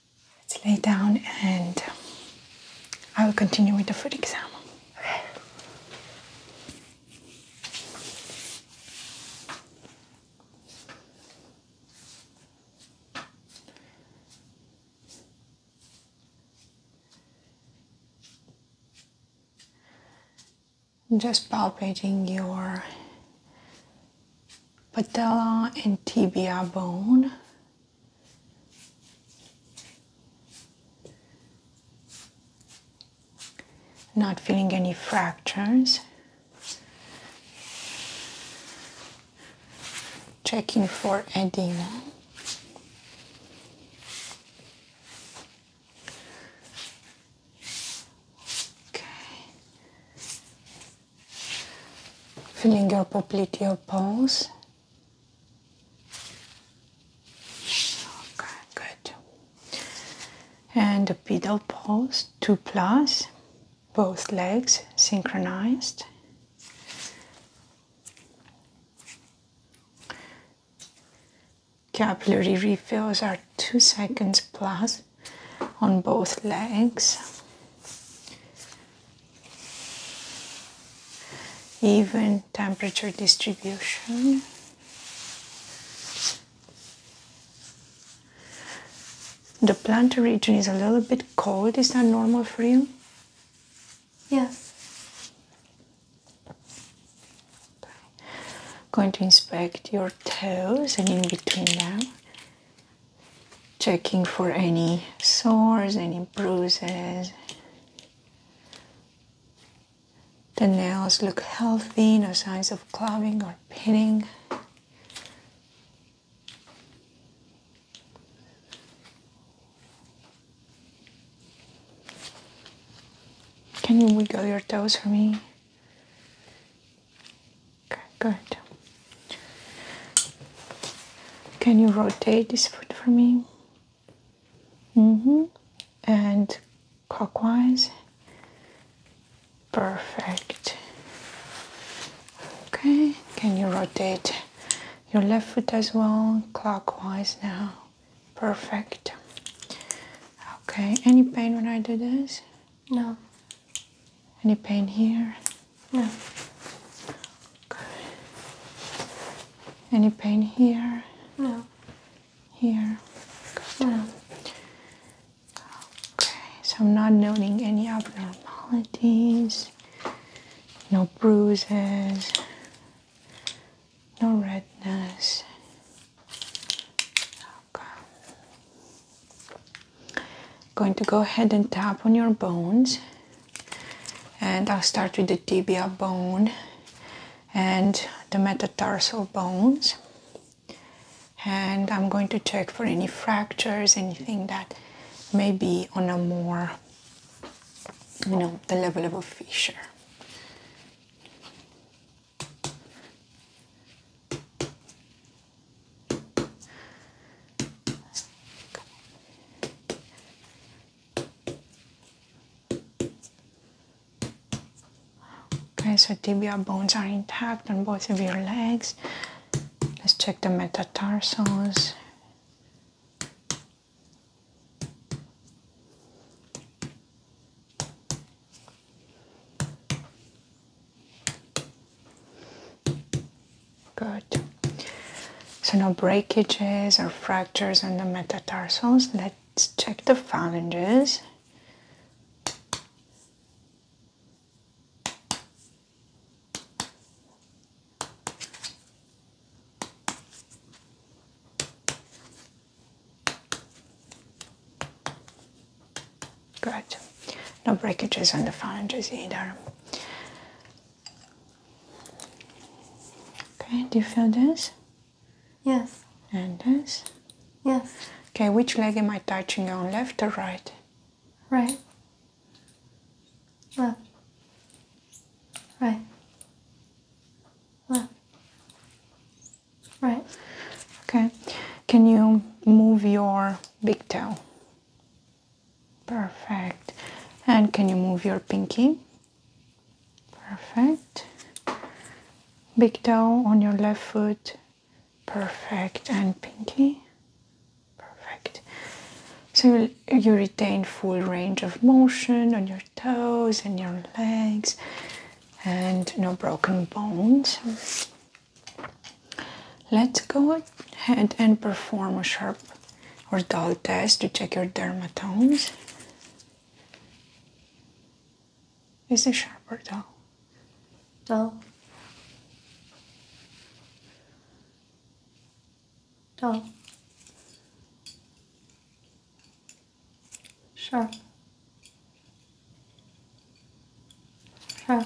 Let's lay down and I will continue with the foot exam. Just palpating your patella and tibia bone not feeling any fractures. Checking for edema. Okay feeling your popliteal bones. Okay, good. And the pedal pose, two plus, both legs synchronized. Capillary refills are two seconds plus on both legs even temperature distribution. The plantar region is a little bit cold. Is that normal for you? Yes. Going to inspect your toes and in between them checking for any sores, any bruises. The nails look healthy, no signs of clubbing or pitting. Can you wiggle your toes for me? Okay, good. Can you rotate this foot for me? Mm-hmm. And clockwise. Perfect. Okay. Can you rotate your left foot as well? Clockwise now. Perfect. Okay. Any pain when I do this? No. Any pain here? No. Okay. Any pain here? No. Here? No. Okay, so I'm not noting any abnormalities, no bruises, no redness. Okay going to go ahead and tap on your bones and I'll start with the tibia bone and the metatarsal bones and I'm going to check for any fractures anything that may be on a more you know the level of a fissure Okay, so tibia bones are intact on both of your legs. Let's check the metatarsals. Good. So no breakages or fractures on the metatarsals. Let's check the phalanges. Good. No breakages on the phalanges either. Okay, do you feel this? Yes. And this? Yes. Okay, which leg am I touching on, left or right? Right. Left. Right. Left. Right. Okay. Can you move your big toe? Perfect. And can you move your pinky? Perfect. Big toe on your left foot. Perfect. And pinky. Perfect. So you retain full range of motion on your toes and your legs and no broken bones. Let's go head and perform a sharp or dull test to check your dermatomes. Is it sharp or dull? Dull. Dull. Sharp. Huh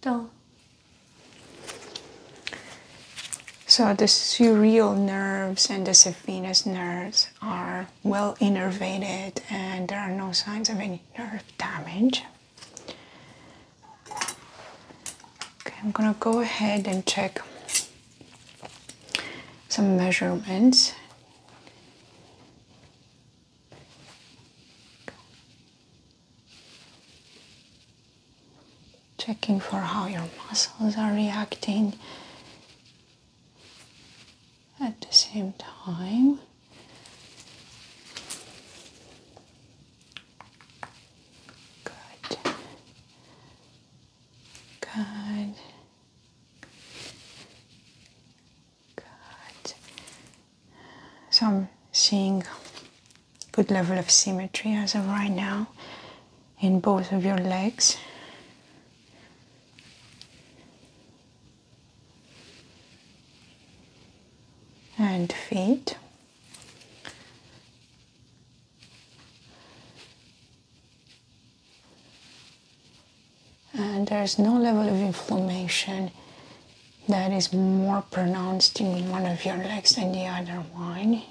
dull. So the surreal nerves and the saphenous nerves are well innervated and there are no signs of any nerve damage. Okay, I'm gonna go ahead and check some measurements. Checking for how your muscles are reacting at the same time. Good. Good. Good. So I'm seeing good level of symmetry as of right now in both of your legs. and feet and there is no level of inflammation that is more pronounced in one of your legs than the other one,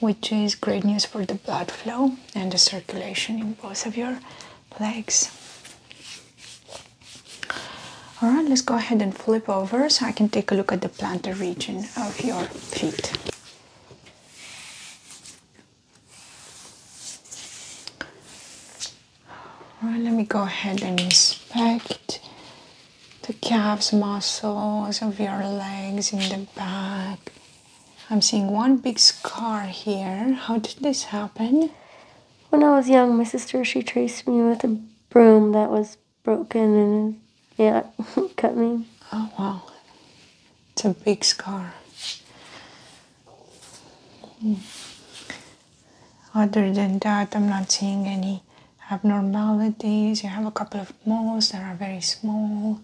which is great news for the blood flow and the circulation in both of your legs. All right, let's go ahead and flip over so I can take a look at the plantar region of your feet. All right, let me go ahead and inspect the calves muscles of your legs in the back. I'm seeing one big scar here. How did this happen? When I was young, my sister she traced me with a broom that was broken and yeah, cut me. Oh wow. It's a big scar. Hmm. Other than that, I'm not seeing any abnormalities. You have a couple of moles that are very small.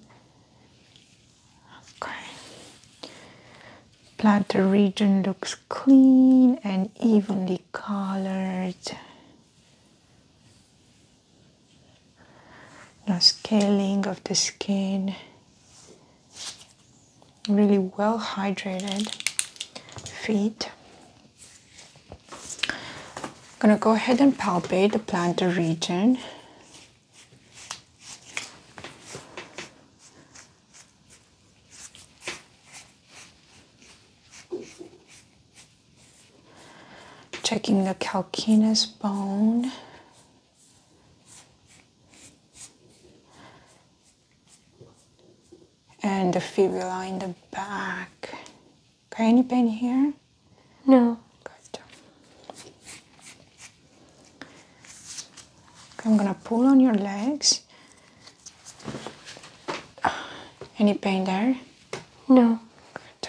Okay. Plantar region looks clean and evenly colored. No scaling of the skin really well hydrated feet. I'm gonna go ahead and palpate the plantar region. Checking the calcaneus bone, and the fibula in the back. any pain here? No. Good. I'm gonna pull on your legs. Any pain there? No. Good.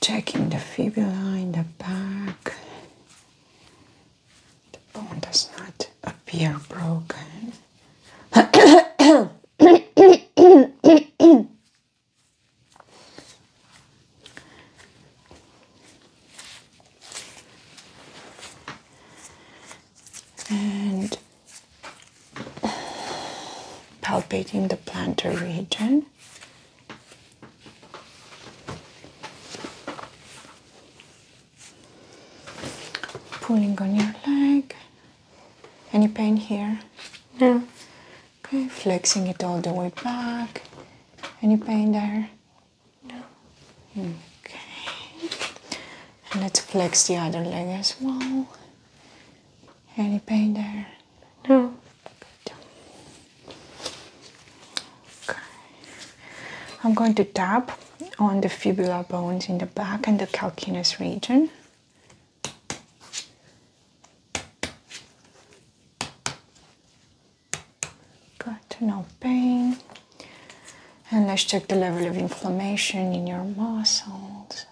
Checking the fibula in the back the bone does not appear broken. and palpating the plantar region. Pulling on your leg. Any pain here? No. Okay, flexing it all the way back. Any pain there? No. Okay. let's flex the other leg as well. Any pain there? No. Okay. I'm going to tap on the fibula bones in the back and the calcaneus region. Good, no pain. And let's check the level of inflammation in your muscles.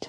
Good.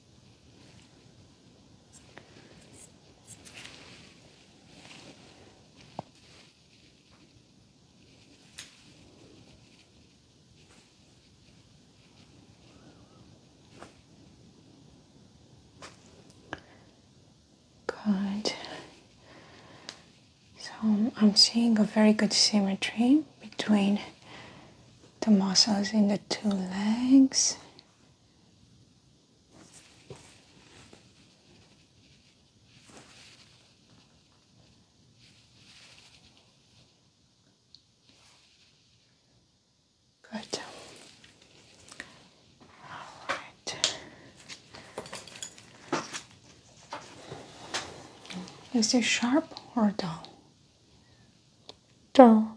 Good. So I'm seeing a very good symmetry between the muscles in the two legs Good. All right. Is it sharp or dull? Dull.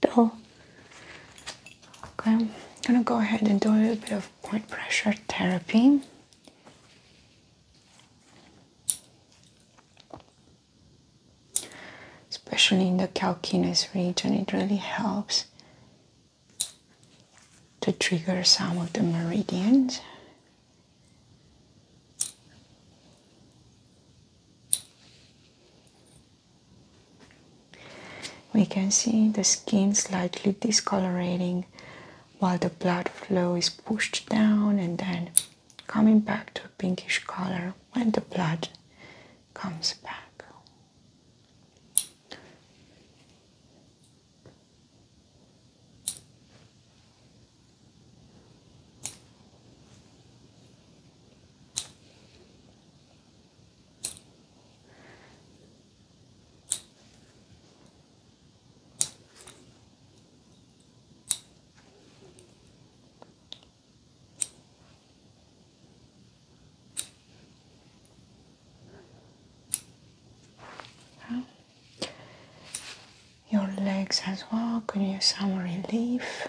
dull. Okay, I'm gonna go ahead and do a little bit of point pressure therapy. Especially in the calcaneus region, it really helps to trigger some of the meridians. We can see the skin slightly discolorating while the blood flow is pushed down and then coming back to a pinkish color when the blood comes back your legs as well, could use some relief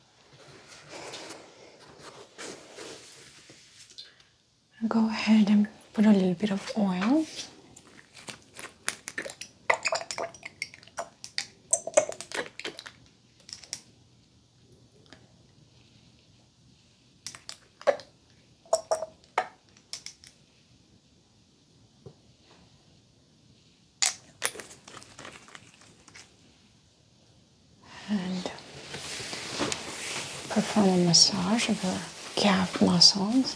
Go ahead and put a little bit of oil and perform a massage of your calf muscles.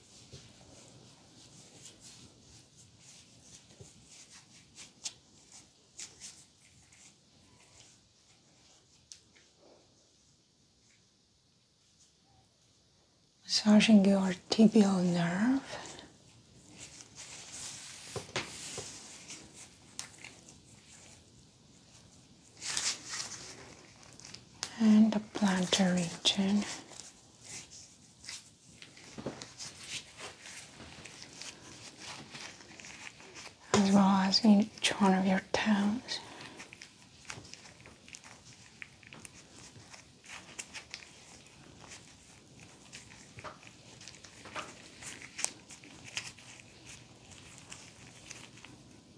massaging your tibial nerve. And the plantar region as well as each one of your toes.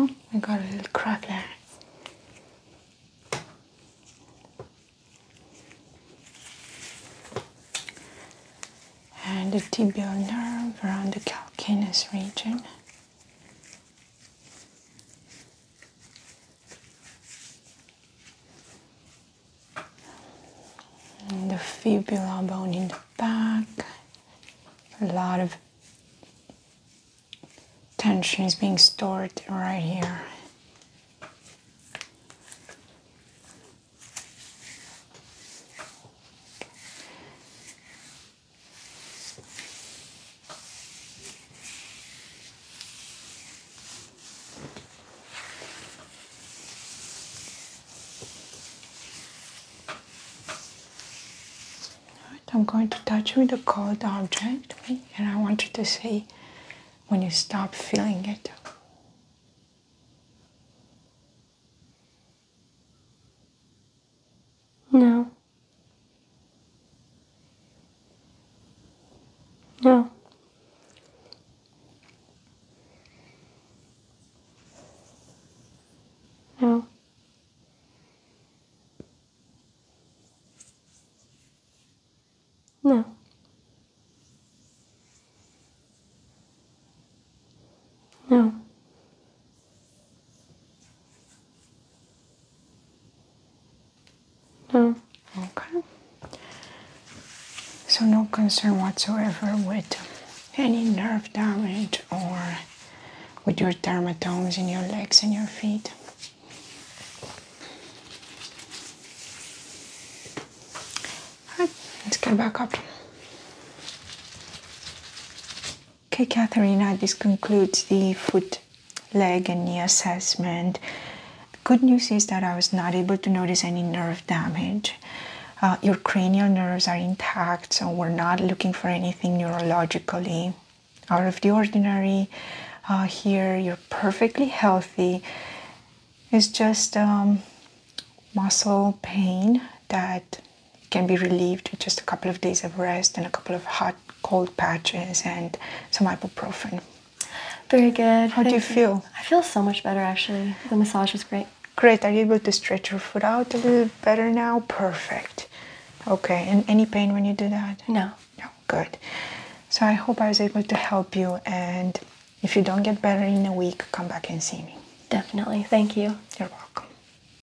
Oh, I got a little crack there. And the tibial nerve around the calcaneus region the fibula bone in the back. A lot of tension is being stored right here. I'm going to touch with a cold object and I want you to say when you stop feeling it. No. No. No. No. No. No. Okay. So no concern whatsoever with any nerve damage or with your dermatomes in your legs and your feet. let's get back up. Okay, Katharina, this concludes the foot, leg, and knee assessment. good news is that I was not able to notice any nerve damage. Uh, your cranial nerves are intact, so we're not looking for anything neurologically out of the ordinary. Uh, here, you're perfectly healthy. It's just um, muscle pain that can be relieved with just a couple of days of rest and a couple of hot cold patches and some ibuprofen. Very good. How do you, feel? I feel so much better actually. The massage was great. Great. Are you able to stretch your foot out a little better now? Perfect. Okay. And any pain when you do that? No. No. Good. So I hope I was able to help you. And if you don't get better in a week, come back and see me. Definitely. Thank you. You're welcome.